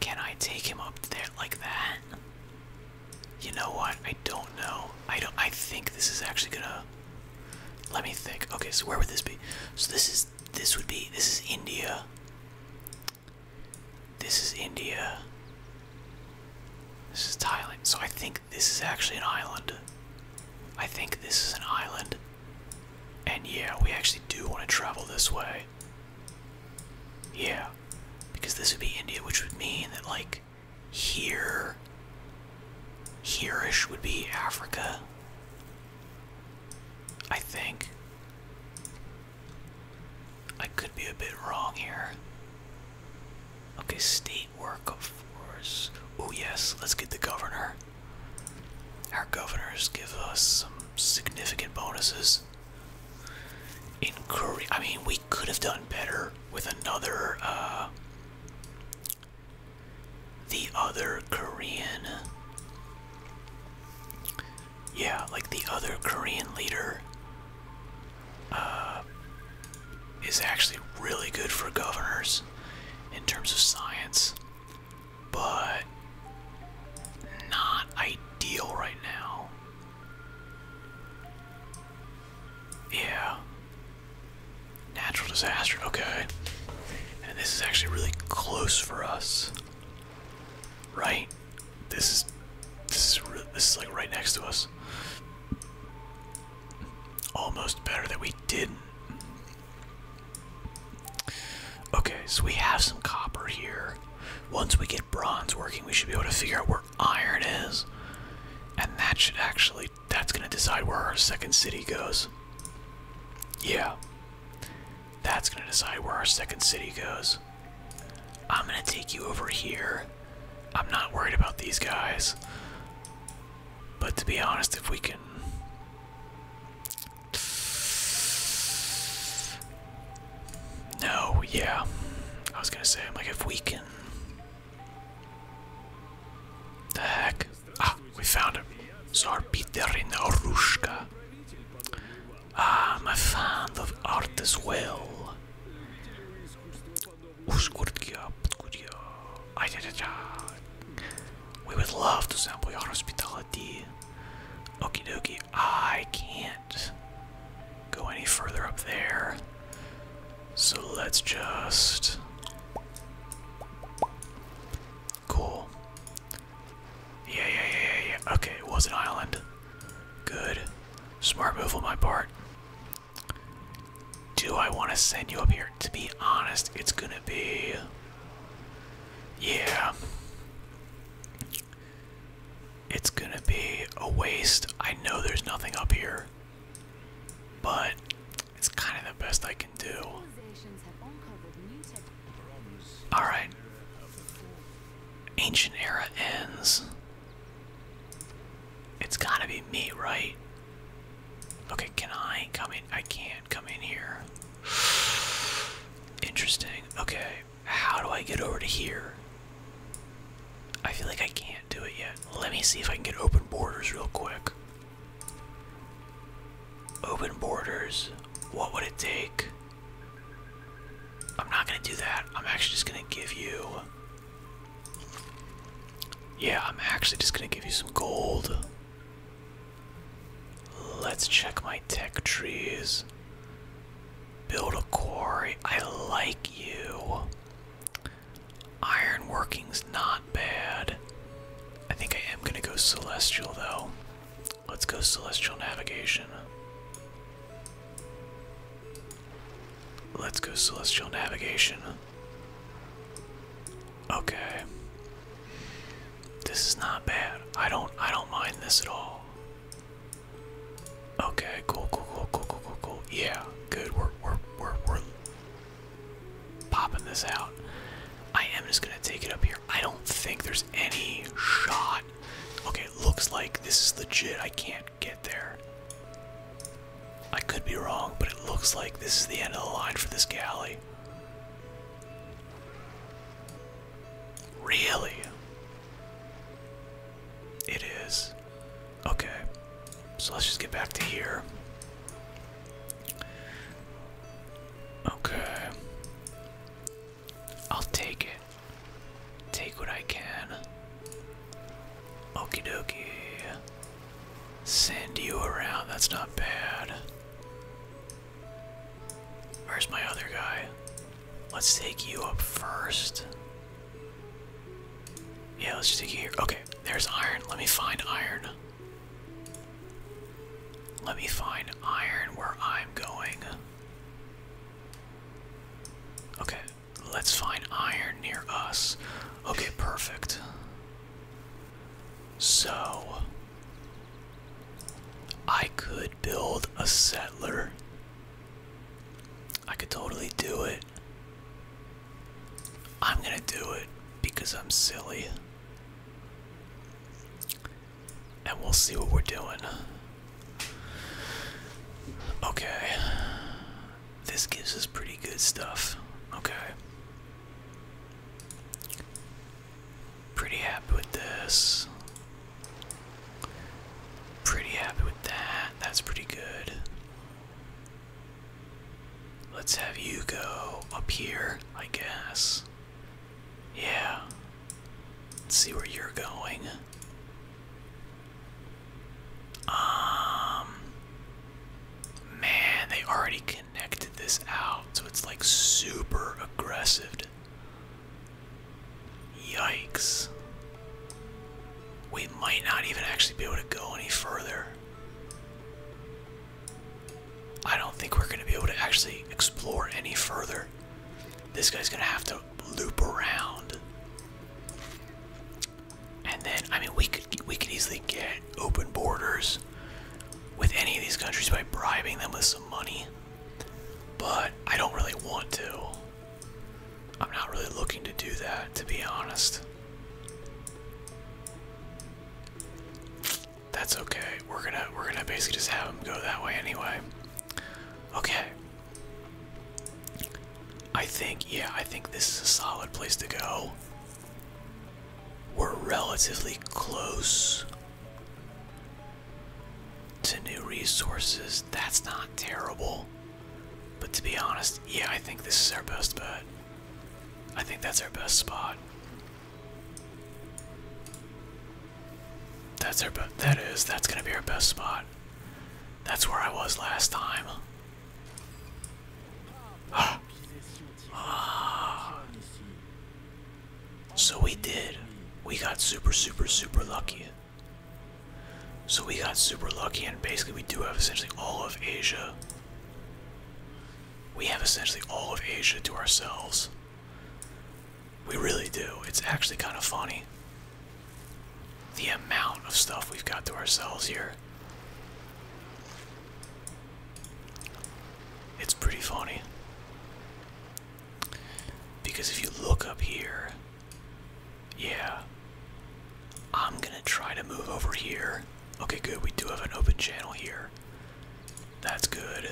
Can I take him up there like that? You know what? I don't know. I don't I think this is actually gonna let me think. Okay, so where would this be? So this is this would be this is India. This is India. This is Thailand. So I think this is actually an island. I think this is an island. And yeah, we actually do want to travel this way. Yeah. Because this would be India, which would mean that, like, here. Hereish would be Africa. I think. I could be a bit wrong here. Okay, state work, of workforce. Oh, yes, let's get the governor. Our governors give us some significant bonuses in Korea. I mean, we could have done better with another, uh, the other Korean. Yeah, like the other Korean leader uh, is actually really good for governors in terms of science, but not ideal right now. Yeah. Natural disaster, okay. And this is actually really close for us. Right? This is this is really, this is like right next to us. Almost better that we didn't. Okay, so we have some copper here. Once we get bronze working, we should be able to figure out where iron is. And that should actually, that's going to decide where our second city goes. Yeah. That's going to decide where our second city goes. I'm going to take you over here. I'm not worried about these guys. But to be honest, if we can no, yeah. I was gonna say, I'm like, if we can. The heck? Ah, we found him. Tsar Peterina Orushka. I'm a fan of art as well. We would love to sample your hospitality. Okey-dokey. I can't go any further up there. So let's just. Cool. yeah, yeah, yeah, yeah. Okay, it was an island. Good. Smart move on my part. Do I want to send you up here? To be honest, it's gonna be. Yeah. It's gonna be a waste. I know there's nothing up here, but it's kind of the best I can do. Alright. Ancient era ends. It's gotta be me, right? Okay, can I come in? I can't come in here. Interesting. Okay, how do I get over to here? I feel like I can't do it yet. Let me see if I can get open borders real quick. Open borders. What would it take? I'm not going to do that. I'm actually just going to give you. Yeah, I'm actually just going to give you some gold. Let's check my tech trees. Build a quarry. I like you. Iron working's not bad. I think I am going to go celestial though. Let's go celestial navigation. Let's go celestial navigation. Okay. This is not bad. I don't I don't mind this at all. Okay, cool, cool, cool, cool, cool, cool, cool. Yeah, good. We're we're we're we're popping this out. I am just gonna take it up here. I don't think there's any shot. Okay, looks like this is legit. I can't get there. I could be wrong, but it looks like this is the end of the line for this galley. Really? It is. Okay. So let's just get back to here. Okay. I'll take it. Take what I can. Okie dokie. Send you around. That's not bad. Where's my other guy? Let's take you up first. Yeah, let's just take you here. Okay, there's iron. Let me find iron. Let me find iron where I'm going. Okay, let's find iron near us. Okay, perfect. So, I could build a settler I could totally do it. I'm gonna do it because I'm silly. And we'll see what we're doing. Okay. This gives us pretty good stuff. Okay. Pretty happy with this. Pretty happy with that. That's pretty good. Let's have you go up here, I guess. Yeah. Let's see where you're going. Um man, they already connected this out, so it's like super aggressive Yikes. We might not even actually be able to go any further. I don't think we're going to be able to actually explore any further. This guy's going to have to loop around. And then I mean we could we could easily get open borders with any of these countries by bribing them with some money. But I don't really want to. I'm not really looking to do that, to be honest. That's okay. We're gonna we're gonna basically just have him go that way anyway. Okay. I think yeah, I think this is a solid place to go. We're relatively close to new resources. That's not terrible. But to be honest, yeah, I think this is our best bet. I think that's our best spot. That's our best. That is. that's gonna be our best spot. That's where I was last time. Ah. Ah. So we did. We got super super super lucky. So we got super lucky, and basically, we do have essentially all of Asia. We have essentially all of Asia to ourselves. We really do. It's actually kind of funny the amount of stuff we've got to ourselves here. It's pretty funny. Because if you look up here, yeah. I'm gonna try to move over here. Okay, good. We do have an open channel here. That's good.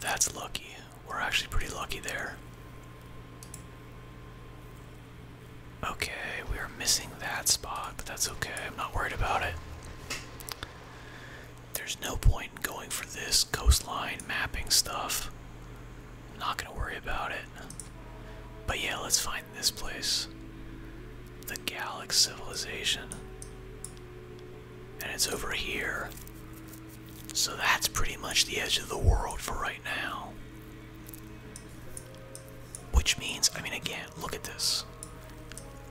That's lucky. We're actually pretty lucky there. Okay, we are missing that spot, but that's okay. I'm not worried about it. There's no point in going for this coastline mapping stuff. I'm not gonna worry about it. But yeah, let's find this place. The Gallic Civilization. And it's over here. So that's pretty much the edge of the world for right now. Which means, I mean, again, look at this.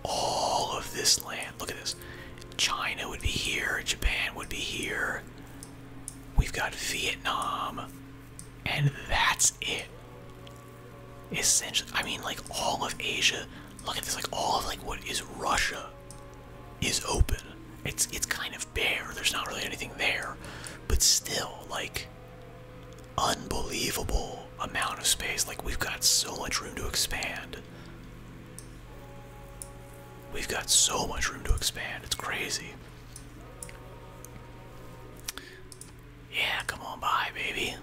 All of this land, look at this. China would be here, Japan would be here. We've got Vietnam, and that's it. Essentially, I mean, like all of Asia. Look at this, like all of like what is Russia is open. It's it's kind of bare. There's not really anything there, but still, like unbelievable amount of space. Like we've got so much room to expand. We've got so much room to expand. It's crazy. Yeah, come on by, baby.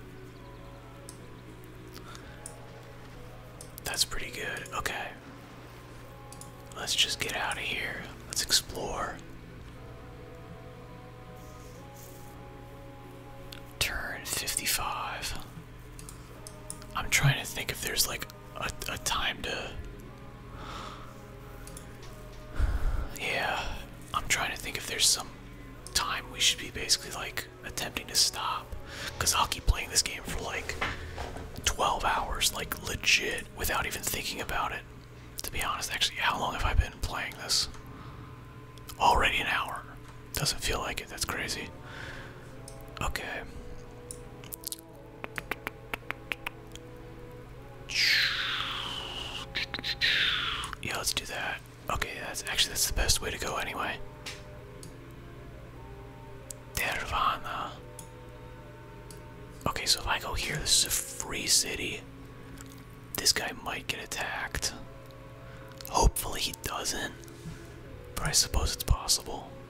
That's pretty good. Okay. Let's just get out of here. Let's explore. Turn 55. I'm trying to think if there's like a, time to. Yeah, I'm trying to think if there's some time we should be basically like attempting to stop. Because I'll keep playing this game for like 12 hours, like legit, without even thinking about it. To be honest, actually, how long have I been playing this? Already an hour. Doesn't feel like it, that's crazy. Okay. Yeah, let's do that. Okay, that's actually that's the best way to go anyway. Dervana. Okay, so if I go here, this is a free city. This guy might get attacked. Hopefully he doesn't. But I suppose it's possible.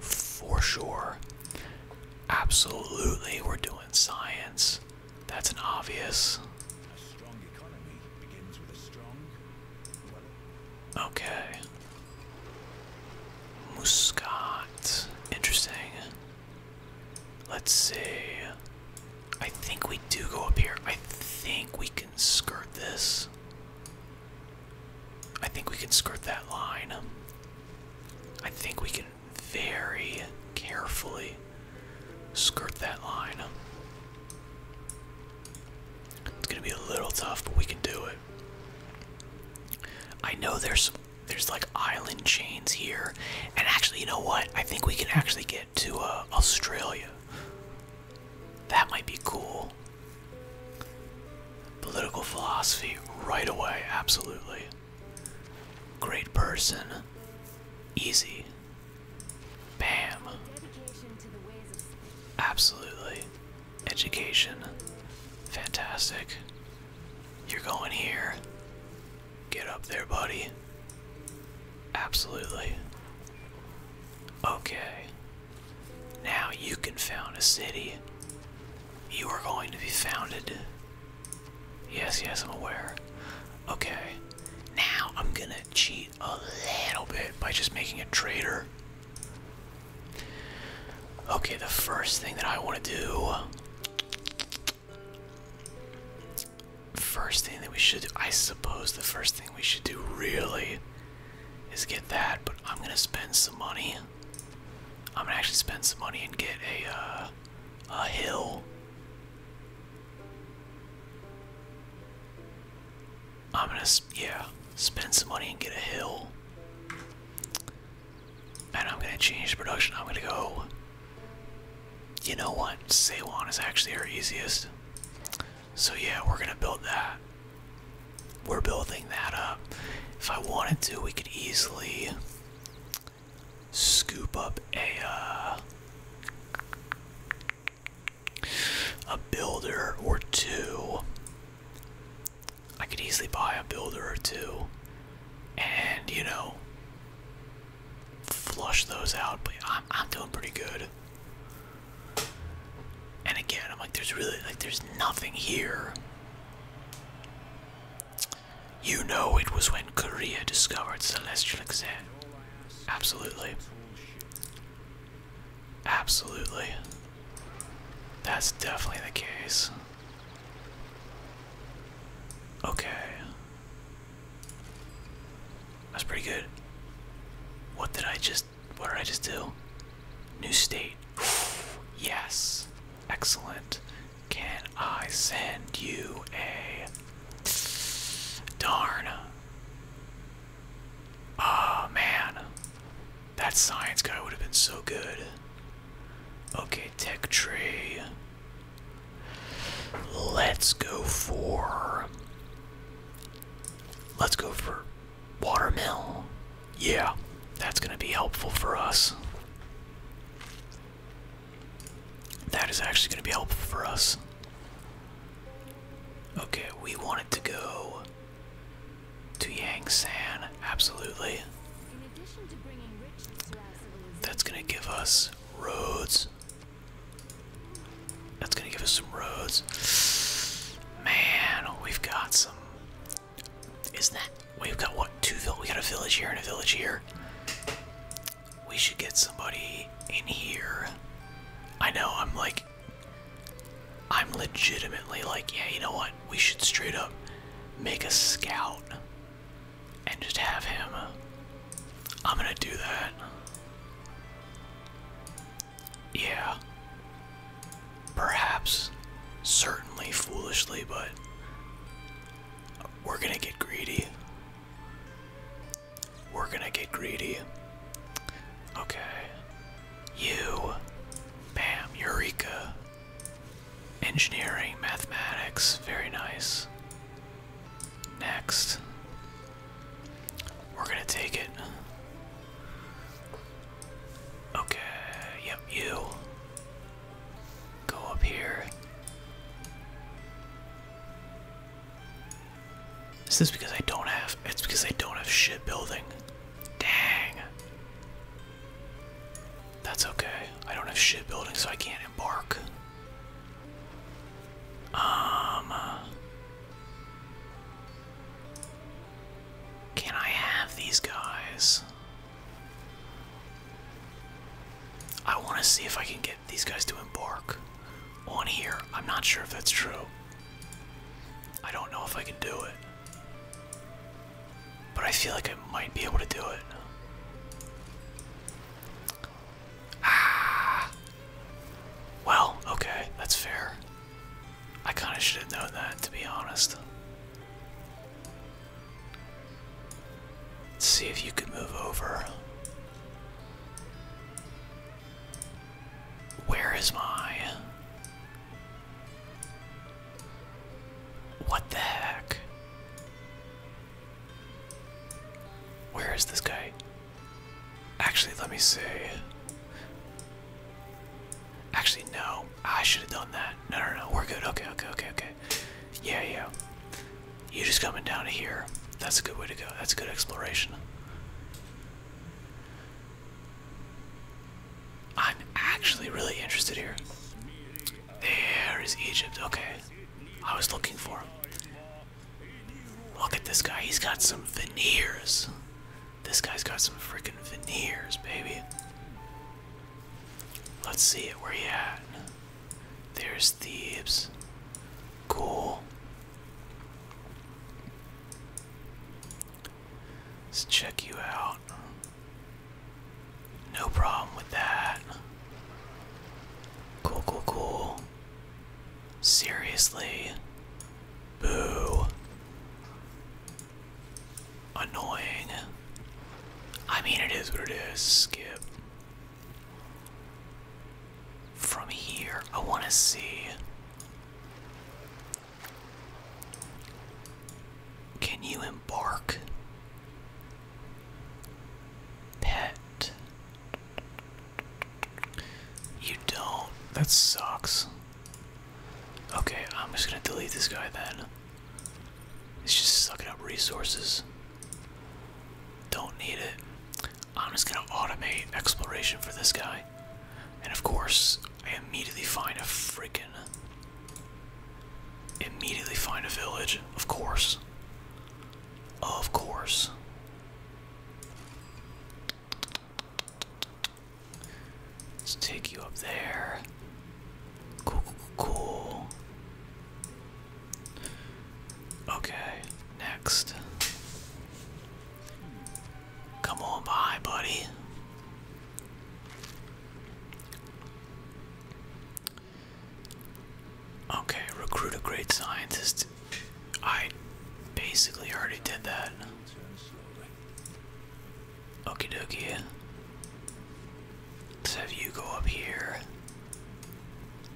for sure. Absolutely, we're doing science. That's an obvious. Okay. Muscat. Interesting. Let's see. I think we do go up here. I think we can skirt this. I think we can skirt that line. I think we can very carefully skirt that line. It's gonna be a little tough, but we can do it. I know there's there's like island chains here, and actually, you know what? I think we can actually get to uh, Australia. That might be cool. Political philosophy right away, absolutely. Great person. Easy. Bam. Absolutely. Education. Fantastic. You're going here. Get up there, buddy. Absolutely. Okay. Now you can found a city. You are going to be founded. Yes, yes, I'm aware. Okay. Now I'm gonna cheat a little bit by just making a traitor. Okay, the first thing that I want to do. First thing that we should I suppose the first thing we should do really is get that, but I'm gonna spend some money I'm gonna actually spend some money and get a uh, a hill. I'm gonna yeah spend some money and get a hill, and I'm gonna change the production. I'm gonna go. You know what? Seiwan is actually our easiest. So yeah, we're gonna build that we're building that up. If I wanted to, we could easily scoop up a uh, a builder or two. I could easily buy a builder or two, and you know, flush those out. But I'm I'm doing pretty good. And again, I'm like, there's really like, there's nothing here you know it was when Korea discovered Celestial Exam. Absolutely. Absolutely. That's definitely the case. Okay. That's pretty good. What did I just. What did I just do? New state. yes. Excellent. Can I send you a darn? Oh man. That science guy would have been so good. Okay, tech tree. Let's go for Let's go for watermill. Yeah, that's going to be helpful for us. That is actually going to be helpful for us. Okay, we want it to go to Yangsan, absolutely. That's going to give us roads. That's going to give us some roads. Man, we've got some isn't that? We've got what? Two vill. We got a village here and a village here. We should get somebody in here. I know. I'm like. I'm legitimately like, yeah, you know what? We should straight up make a scout and just have him. I'm gonna do that. Yeah. Perhaps, certainly foolishly, but we're gonna get greedy. We're gonna get greedy. Okay. You. Bam. Eureka. Engineering, mathematics. Very nice. Next. We're gonna take it. Okay, yep, you. Go up here. Is this because I don't have it's because I don't have shit building? Dang. That's okay. I don't have shit building, so I can't embark. Um Can I have these guys? I want to see if I can get these guys to embark on here. I'm not sure if that's true. I don't know if I can do it. But I feel like I might be able to do it. Ah. Well, okay, that's fair. I kind of should have known that, to be honest. Let's see if you can move over. Where is my. What the heck? Where is this guy? Actually, let me see. Actually, no. I should have done that. No, no, no. We're good. Okay, okay, okay, okay. Yeah, yeah. You just coming down to here. That's a good way to go. That's good exploration. I'm actually really interested here. There is Egypt. Okay. I was looking for him. Look at this guy. He's got some veneers. This guy's got some freaking veneers, baby. Let's see it. Where you at? There's Thebes. Cool. Let's check you out. No problem with that. Cool, cool, cool. Seriously. Boo. Annoying. I mean, it is what it is. Skip. From here, I want to see. Can you embark? Pet. You don't. That sucks. Okay, I'm just gonna delete this guy then. It's just sucking up resources. Don't need it. I'm just gonna automate exploration for this guy. And of course, I immediately find a freaking. Immediately find a village. Of course. Of course. Let's take you up there. Cool, cool, cool. Okay, next. Come on by, buddy. Okay, recruit a great scientist. I basically already did that. Okie dokie. let have you go up here.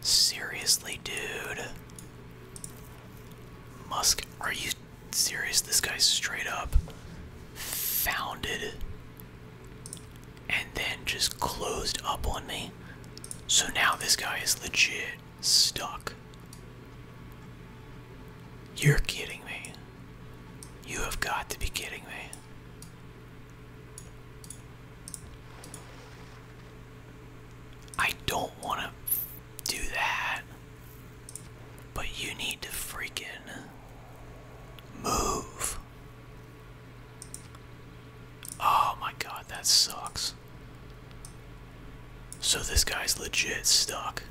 Seriously, dude. Musk, are you serious? This guy's straight up founded and then just closed up on me. So now this guy is legit stuck. You're kidding me. You have got to be kidding me. I don't want to do that. But you need to freaking move. Oh my god, that sucks. So this guy's legit stuck.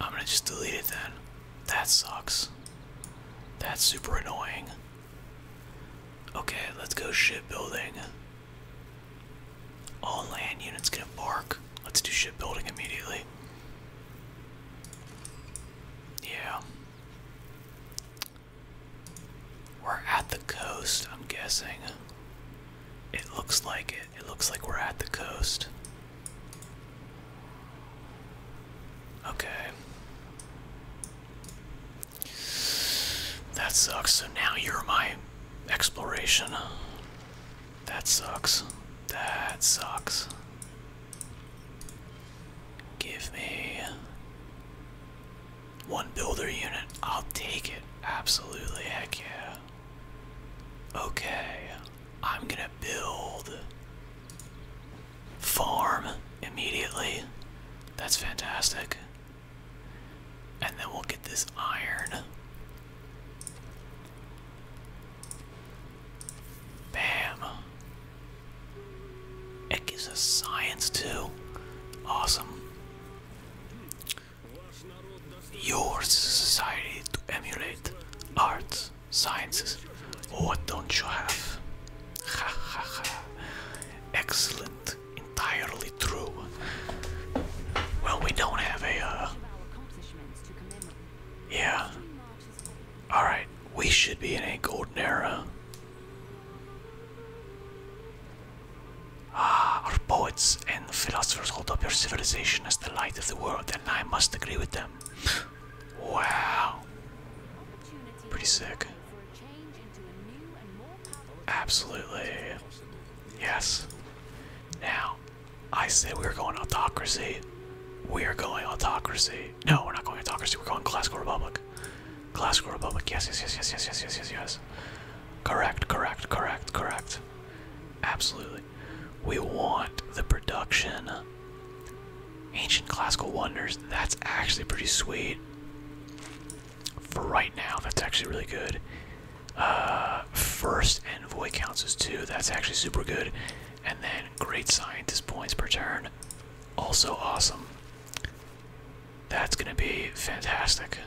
I'm gonna just delete it then. That sucks. That's super annoying. Okay, let's go ship building. All land units can bark. Let's do ship building immediately. Yeah. We're at the coast, I'm guessing. It looks like it. It looks like we're at the coast. Okay. That sucks. So now you're my exploration. That sucks. That sucks. Give me one builder unit. I'll take it. Absolutely. Heck yeah. Okay. I'm gonna build farm immediately. That's fantastic. And then we'll get this iron. Bam. It gives us science too. Awesome. Yours is a society to emulate art. Sciences. What don't you have? Ha ha ha. Excellent. Entirely true. Well, we don't have a. Uh... Yeah. Alright, we should be in a golden era. Ah, our poets and philosophers hold up our civilization as the light of the world, and I must agree with them. Wow. Pretty sick. Absolutely. Yes. Now, I said we were going autocracy. We are going autocracy. No, we're not going autocracy. We're going classical republic. Classical republic. Yes, yes, yes, yes, yes, yes, yes, yes, yes. Correct, correct, correct, correct. Absolutely. We want the production. Ancient classical wonders, that's actually pretty sweet. For right now, that's actually really good. Uh, first envoy counts as two, that's actually super good. And then great scientist points per turn, also awesome. That's gonna be fantastic.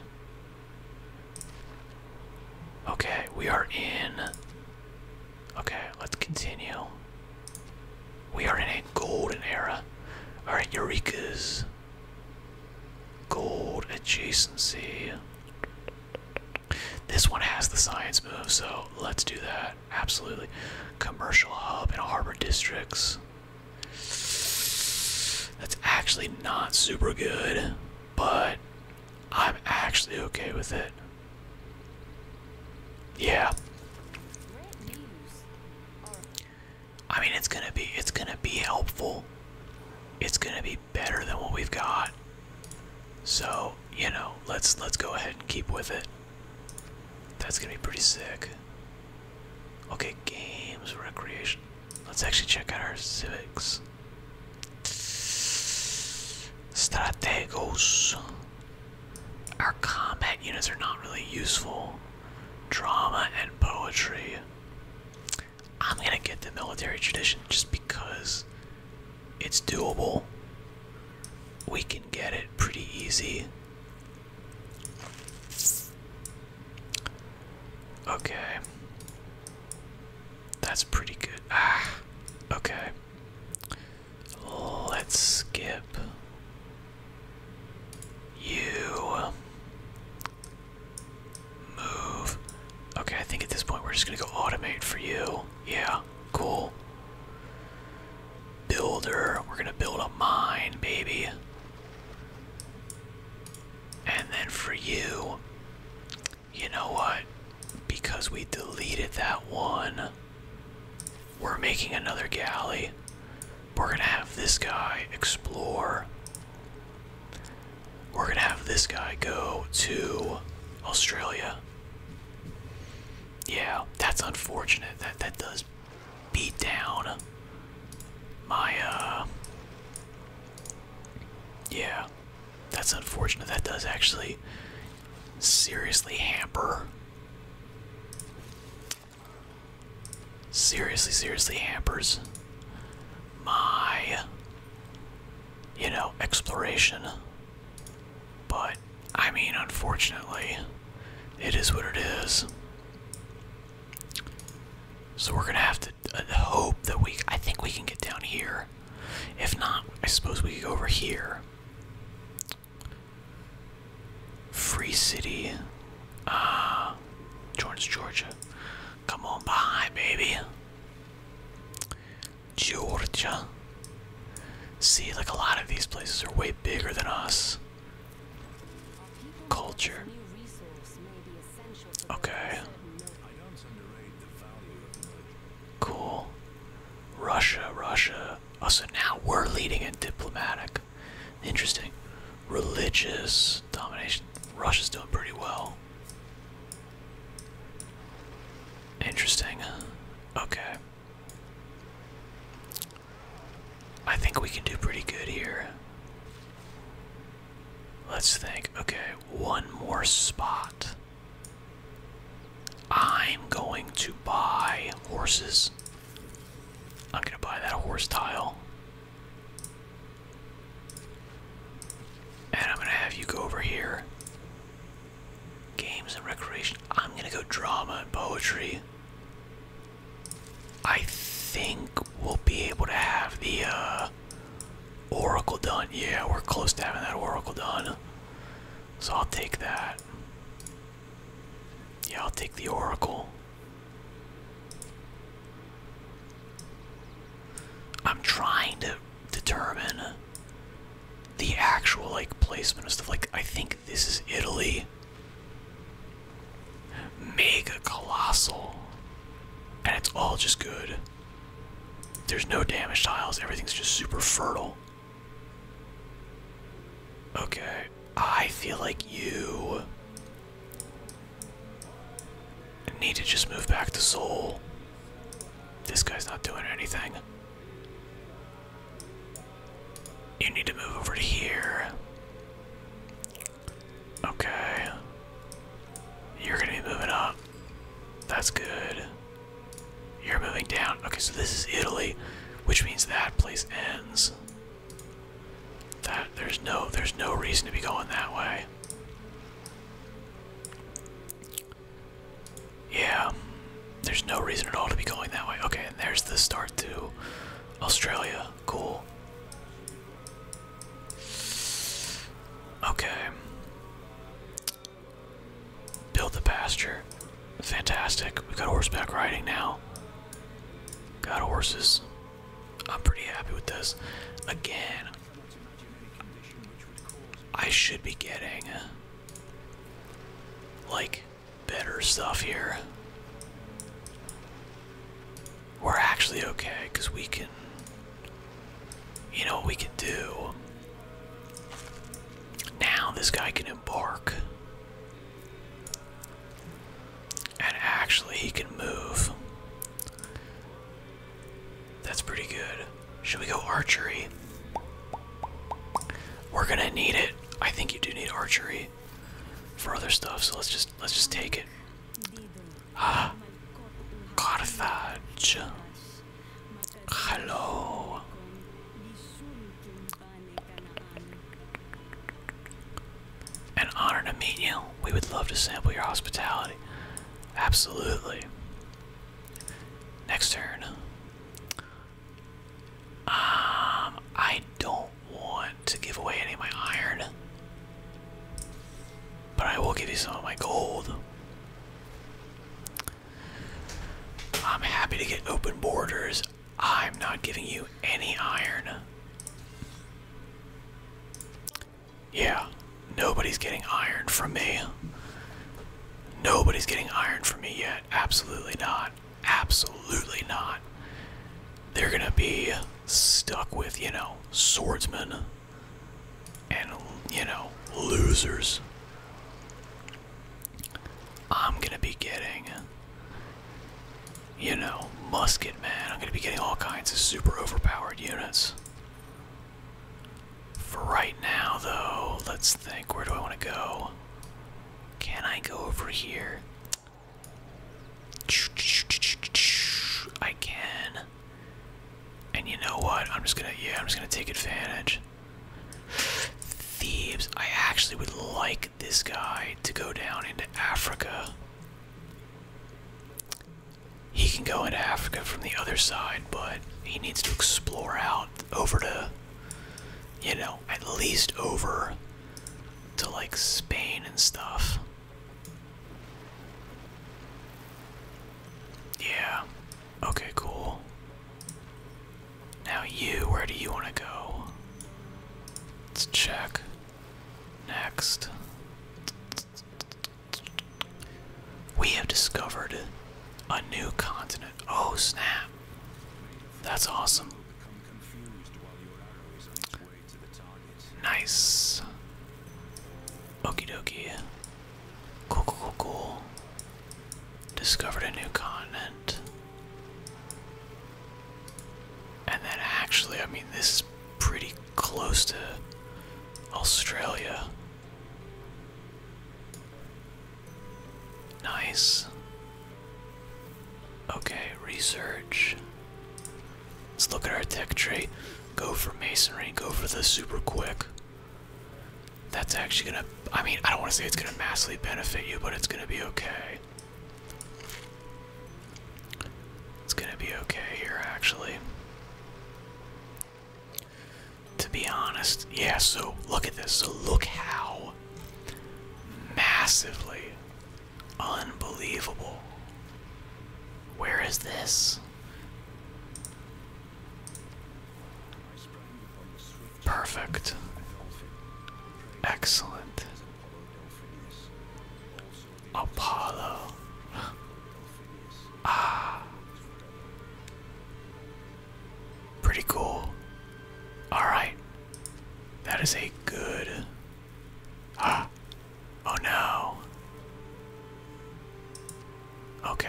Okay, we are in Okay, let's continue. We are in a golden era. Alright, Eureka's gold adjacency. This one has the science move, so let's do that. Absolutely. Commercial hub in harbor districts. That's actually not super good, but I'm actually okay with it. Yeah. I mean, it's gonna be it's gonna be helpful. It's gonna be better than what we've got. So you know, let's let's go ahead and keep with it. That's gonna be pretty sick. Okay, games, recreation. Let's actually check out our civics. Strategos. Our combat units are not really useful. Drama and poetry. I'm gonna get the military tradition just because it's doable. We can get it pretty easy. Okay. That's pretty good. Ah, okay. Let's skip you. Move. Okay, I think at this point we're just gonna go automate for you. Yeah, cool. Builder. We're gonna build a mine, baby. And then for you, you know what? Because we deleted that one, we're making another galley. We're gonna have this guy explore. We're gonna have this guy go to Australia. Yeah, that's unfortunate. That that does beat down my uh yeah that's unfortunate that does actually Seriously, hamper. Seriously, seriously hampers my, you know, exploration. But, I mean, unfortunately, it is what it is. So we're gonna have to uh, hope that we, I think we can get down here. If not, I suppose we could go over here. Free City. Ah, uh, Georgia. Come on behind, baby. Georgia. See, like a lot of these places are way bigger than us. Culture. Okay. Cool. Russia, Russia. Oh, so now we're leading in diplomatic. Interesting. Religious domination. Russia's doing pretty well. Interesting. Okay. I think we can do pretty good here. Let's think. Okay, one more spot. I'm going to buy horses. I'm going to buy that horse tile. And I'm going to have you go over here. Games and recreation. I'm going to go drama and poetry. I think we'll be able to have the uh, oracle done. Yeah, we're close to having that oracle done. So I'll take that. Yeah, I'll take the Oracle. I'm trying to determine the actual like placement of stuff. Like I think this is Italy. Mega colossal. And it's all just good. There's no damage tiles, everything's just super fertile. Okay. I feel like you need to just move back to Seoul. This guy's not doing anything. You need to move over to here. Okay. You're gonna be moving up. That's good. You're moving down. Okay, so this is Italy, which means that place ends. That there's no there's no reason to be going that way. Yeah, there's no reason at all to be going that way. Okay, and there's the start to Australia. Cool. Okay. Build the pasture. Fantastic. We got horseback riding now. Got horses. I'm pretty happy with this. Again, I should be getting like better stuff here. We're actually okay because we can, you know, what we can do now this guy can embark. And actually, he can move. That's pretty good. Should we go archery? We're gonna need it. I think you do need archery for other stuff, so let's just let's just take it. Ah, Carthage. Hello. An honor to meet you. We would love to sample your hospitality. Absolutely. Next turn. Um, I don't want to give away any of my iron, but I will give you some of my gold. I'm happy to get open borders. I'm not giving you any iron. Yeah, nobody's getting iron from me. Nobody's getting iron from me yet. Absolutely not. Absolutely not. They're gonna be stuck with, you know, swordsmen and, you know, losers. I'm gonna be getting, you know, musket man. I'm gonna be getting all kinds of super overpowered units. For right now, though, let's think. Where do I want to go? Can I go over here? I can. And you know what? I'm just gonna yeah, I'm just gonna take advantage. Thebes. I actually would like this guy to go down into Africa. He can go into Africa from the other side, but he needs to explore out over to, you know, at least over to like Spain and stuff. Yeah. Okay, cool. Now you, where do you want to go? Let's check. Next. We have discovered a new continent. Oh snap. That's awesome. Nice. Okie dokie. cool, cool, cool discovered a new continent. And then actually, I mean, this is pretty close to Australia. Nice. Okay, research. Let's look at our tech tree. Go for masonry, go for the super quick. That's actually gonna, I mean, I don't wanna say it's gonna massively benefit you, but it's gonna be okay. It's gonna be okay here, actually. To be honest, yeah, so look at this. So look how massively unbelievable. Where is this? Perfect. Excellent. Apollo. ah. Pretty cool. Alright. That is a good. Ah. Oh no. Okay.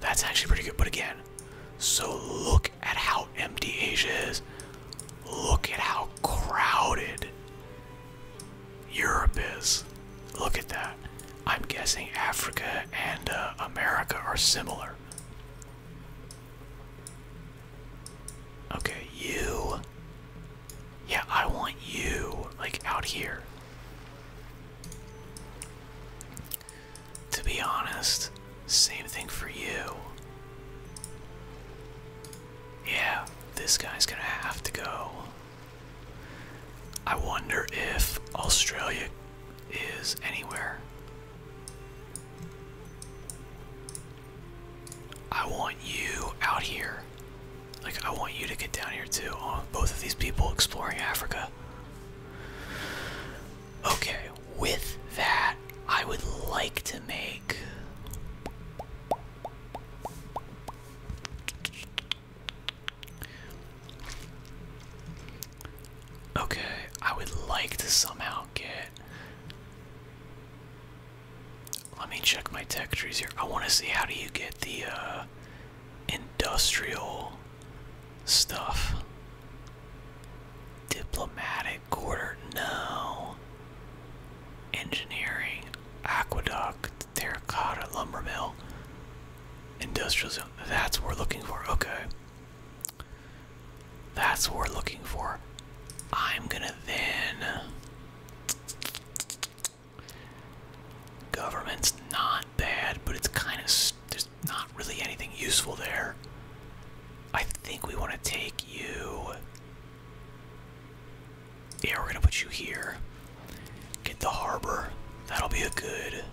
That's actually pretty good. But again, so look at how empty Asia is. Look at how crowded Europe is. Look at that. I'm guessing Africa and uh, America are similar. Okay, you. Yeah, I want you, like, out here. To be honest, same thing for you. Yeah, this guy's gonna have to go. I wonder if Australia is anywhere. I want you out here. Like, I want you to get down here too. Oh, both of these people exploring Africa. Okay, with that, I would like to make. Okay, I would like to somehow get. Let me check my tech trees here. I want to see how do you get the uh, industrial stuff. Diplomatic quarter, no. Engineering, aqueduct, terracotta, lumber mill, industrial zone. That's what we're looking for. Okay. That's what we're looking for. I'm gonna then. Government's not bad, but it's kind of there's not really anything useful there. I think we want to take you. Yeah, we're gonna put you here. Get the harbor. That'll be a good.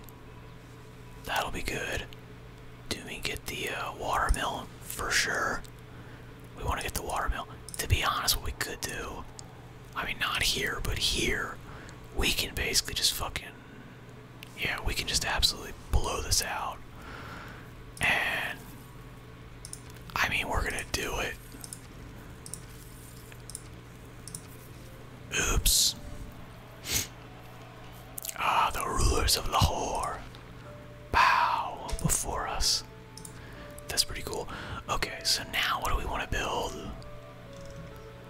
That'll be good. Do we get the uh, watermill for sure? We want to get the watermill. To be honest, what we could do. I mean, not here, but here. We can basically just fucking yeah, we can just absolutely blow this out. And I mean, we're gonna do it. Oops. Ah, the rulers of Lahore bow before us. That's pretty cool. Okay, so now what do we want to build?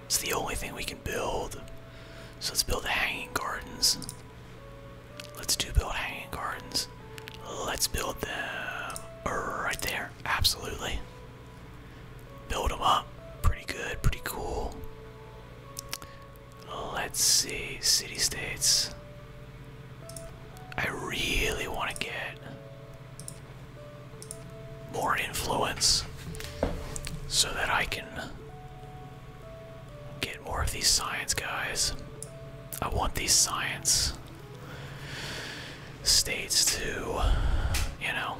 It's the only thing we can build. So let's build hanging gardens. Let's do build hanging gardens. Let's build them right there. Absolutely. Build them up. Pretty good, pretty cool. Let's see. City states. I really want to get more influence so that I can Get more of these science guys. I want these science states to, you know,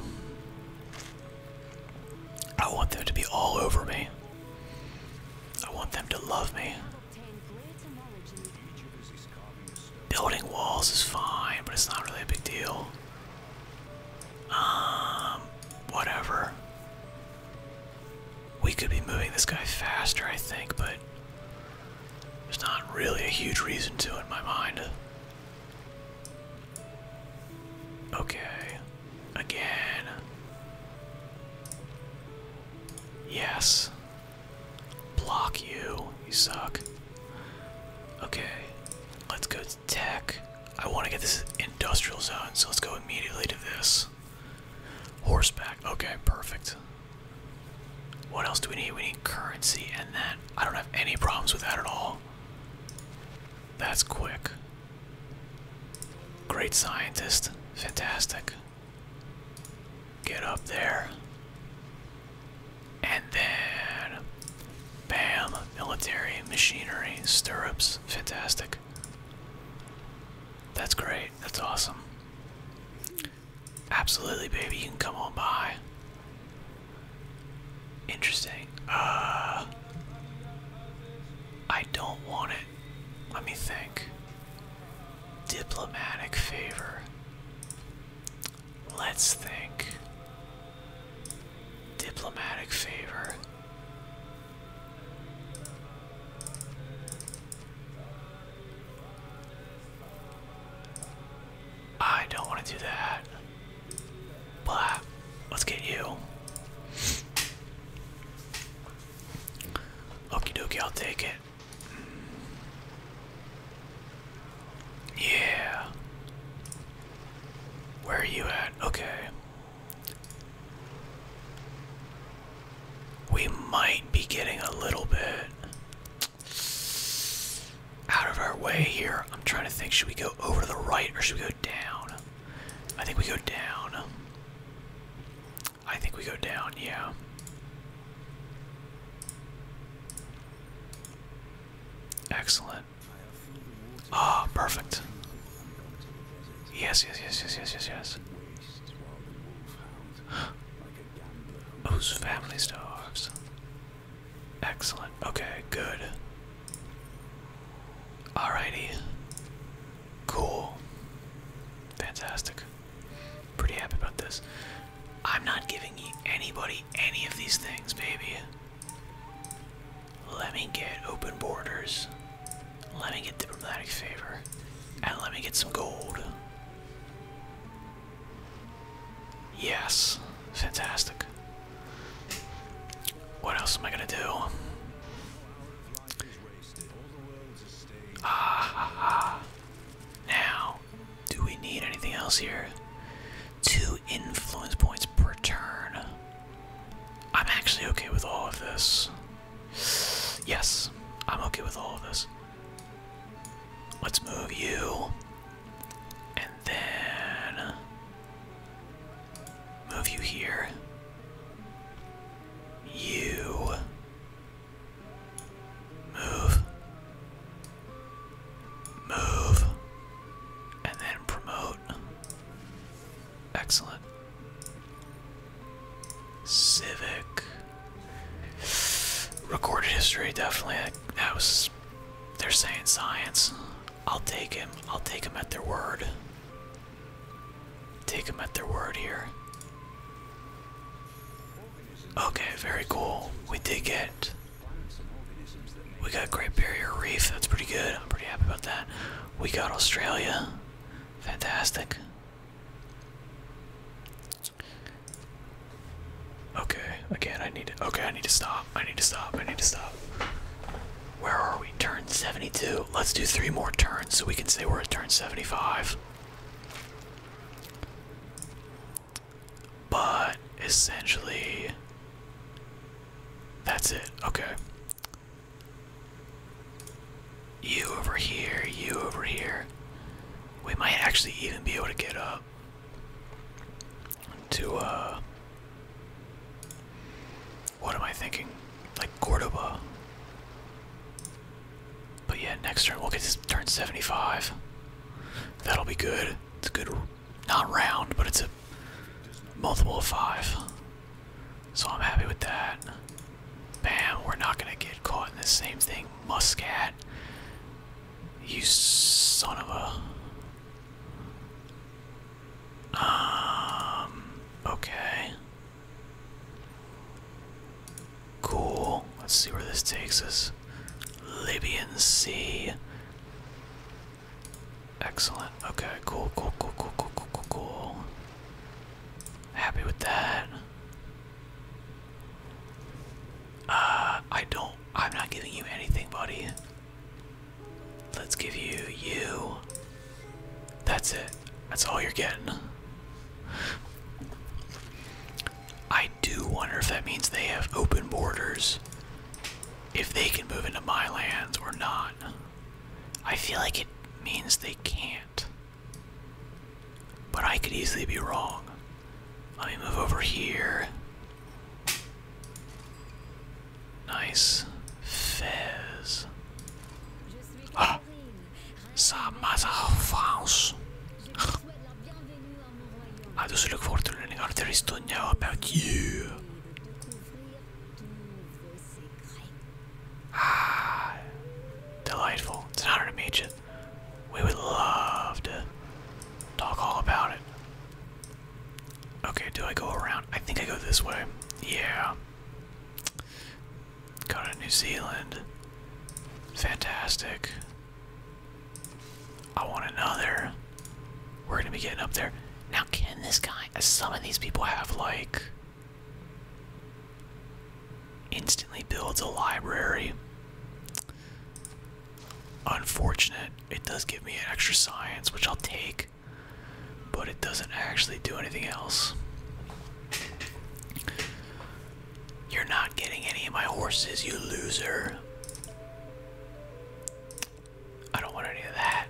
I want them to be all over me. I want them to love me. Building walls is fine, but it's not really a big deal. Um, whatever. We could be moving this guy faster, I think, but there's not really a huge reason to in my mind. Okay. Again. Yes. Block you. You suck. Okay. Let's go tech. I want to get this industrial zone, so let's go immediately to this. Horseback. Okay, perfect. What else do we need? We need currency, and then I don't have any problems with that at all. That's quick. Great scientist. Fantastic. Get up there. And then. Bam. Military. Machinery. Stirrups. Fantastic. That's great. That's awesome. Absolutely, baby. You can come on by. Interesting. Uh, I don't want it. Let me think. Diplomatic favor. Let's think. Diplomatic favor. I don't want to do that. But let's get you. Okie dokie, I'll take it. Yeah. Where are you at? Okay. We might be getting a little bit out of our way here. I'm trying to think should we go over to the right or should we go down? I think we go down. I think we go down, yeah. Excellent. Ah, perfect. Yes, yes, yes, yes, yes, yes, yes. Whose family stars? Excellent. Okay, good. All righty. Cool. Fantastic. Pretty happy about this. I'm not giving anybody any of these things, baby. Let me get open borders. Let me get diplomatic favor. And let me get some gold. Yes. Fantastic. What else am I gonna do? Ah, Now, do we need anything else here? Two influence points per turn. I'm actually okay with all of this. Yes, I'm okay with all of this. Let's move you. And then. Move you here. You. Move. Move. And then promote. Excellent. Civic. Recorded history, definitely. That was. They're saying science. I'll take him. I'll take him at their word. Take him at their word here. Okay, very cool. We did get. We got Great Barrier Reef. That's pretty good. I'm pretty happy about that. We got Australia. Fantastic. Okay, again, I need to. Okay, I need to stop. I need to stop. I need to stop. Where are we? Turn 72. Let's do three more turns so we can say we're at turn 75. But essentially, that's it. Okay. You over here, you over here. We might actually even be able to get up to, uh. What am I thinking? Like Cordoba. But yeah, next turn we'll get this turn 75. That'll be good. It's a good, not round, but it's a multiple of five. So I'm happy with that. Bam, we're not gonna get caught in the same thing. Muscat. You son of a. Um, okay. Cool. Let's see where this takes us. Libyan Sea. Excellent. Okay, cool, cool, cool, cool, cool, cool, cool, cool. Happy with that. Uh, I don't, I'm not giving you anything, buddy. Let's give you you. That's it. That's all you're getting. I do wonder if that means they have open borders. If they can move into my lands or not. I feel like it means they can't. But I could easily be wrong. Let me move over here. Nice. Fez. Ah! Ça house. I just look forward to learning all there is to know about you. Ah, delightful. It's an honor to meet you. We would love to talk all about it. Okay, do I go around? I think I go this way. Yeah. Go to New Zealand. Fantastic. I want another. We're gonna be getting up there. Now, can this guy, some of these people have like Instantly builds a library. Unfortunate, it does give me an extra science, which I'll take, but it doesn't actually do anything else. You're not getting any of my horses, you loser. I don't want any of that.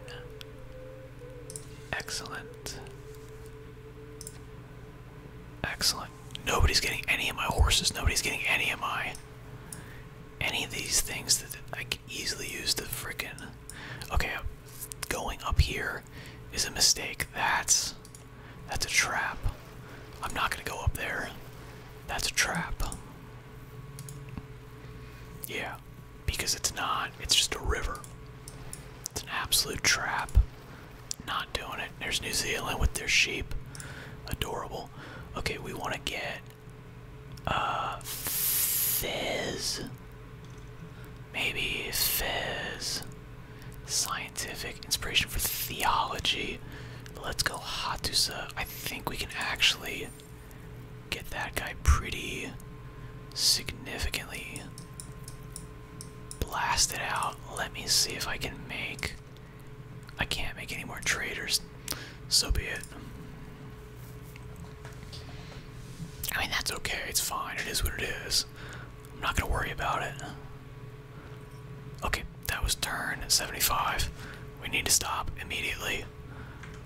Excellent. Excellent. Nobody's getting any of my horses. Nobody's getting any of my. Any of these things that I can easily use The frickin'. Okay, going up here is a mistake. That's. That's a trap. I'm not gonna go up there. That's a trap. Yeah because it's not. It's just a river. It's an absolute trap. Not doing it. There's New Zealand with their sheep. Adorable. Okay, we want to get uh Fizz. Maybe Fizz. Scientific inspiration for theology. Let's go Hatusa. I think we can actually get that guy pretty significantly blasted out. Let me see if I can make. I can't make any more traders. So be it. I mean, that's okay. It's fine. It is what it is. I'm not going to worry about it. Okay, that was turn 75. We need to stop immediately.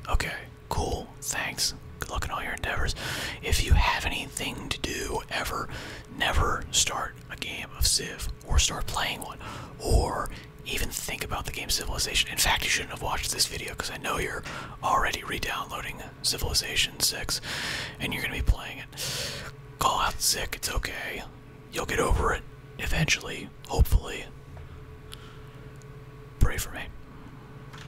Okay, Cool. Thanks. Good luck in all your endeavors. If you have anything to do ever, never start a game of Civ or start playing one or even think about the game Civilization. In fact, you shouldn't have watched this video because I know you're already re-downloading Civilization 6 and you're going to be playing it. Call out sick. It's okay. You'll get over it eventually, hopefully. Pray for me.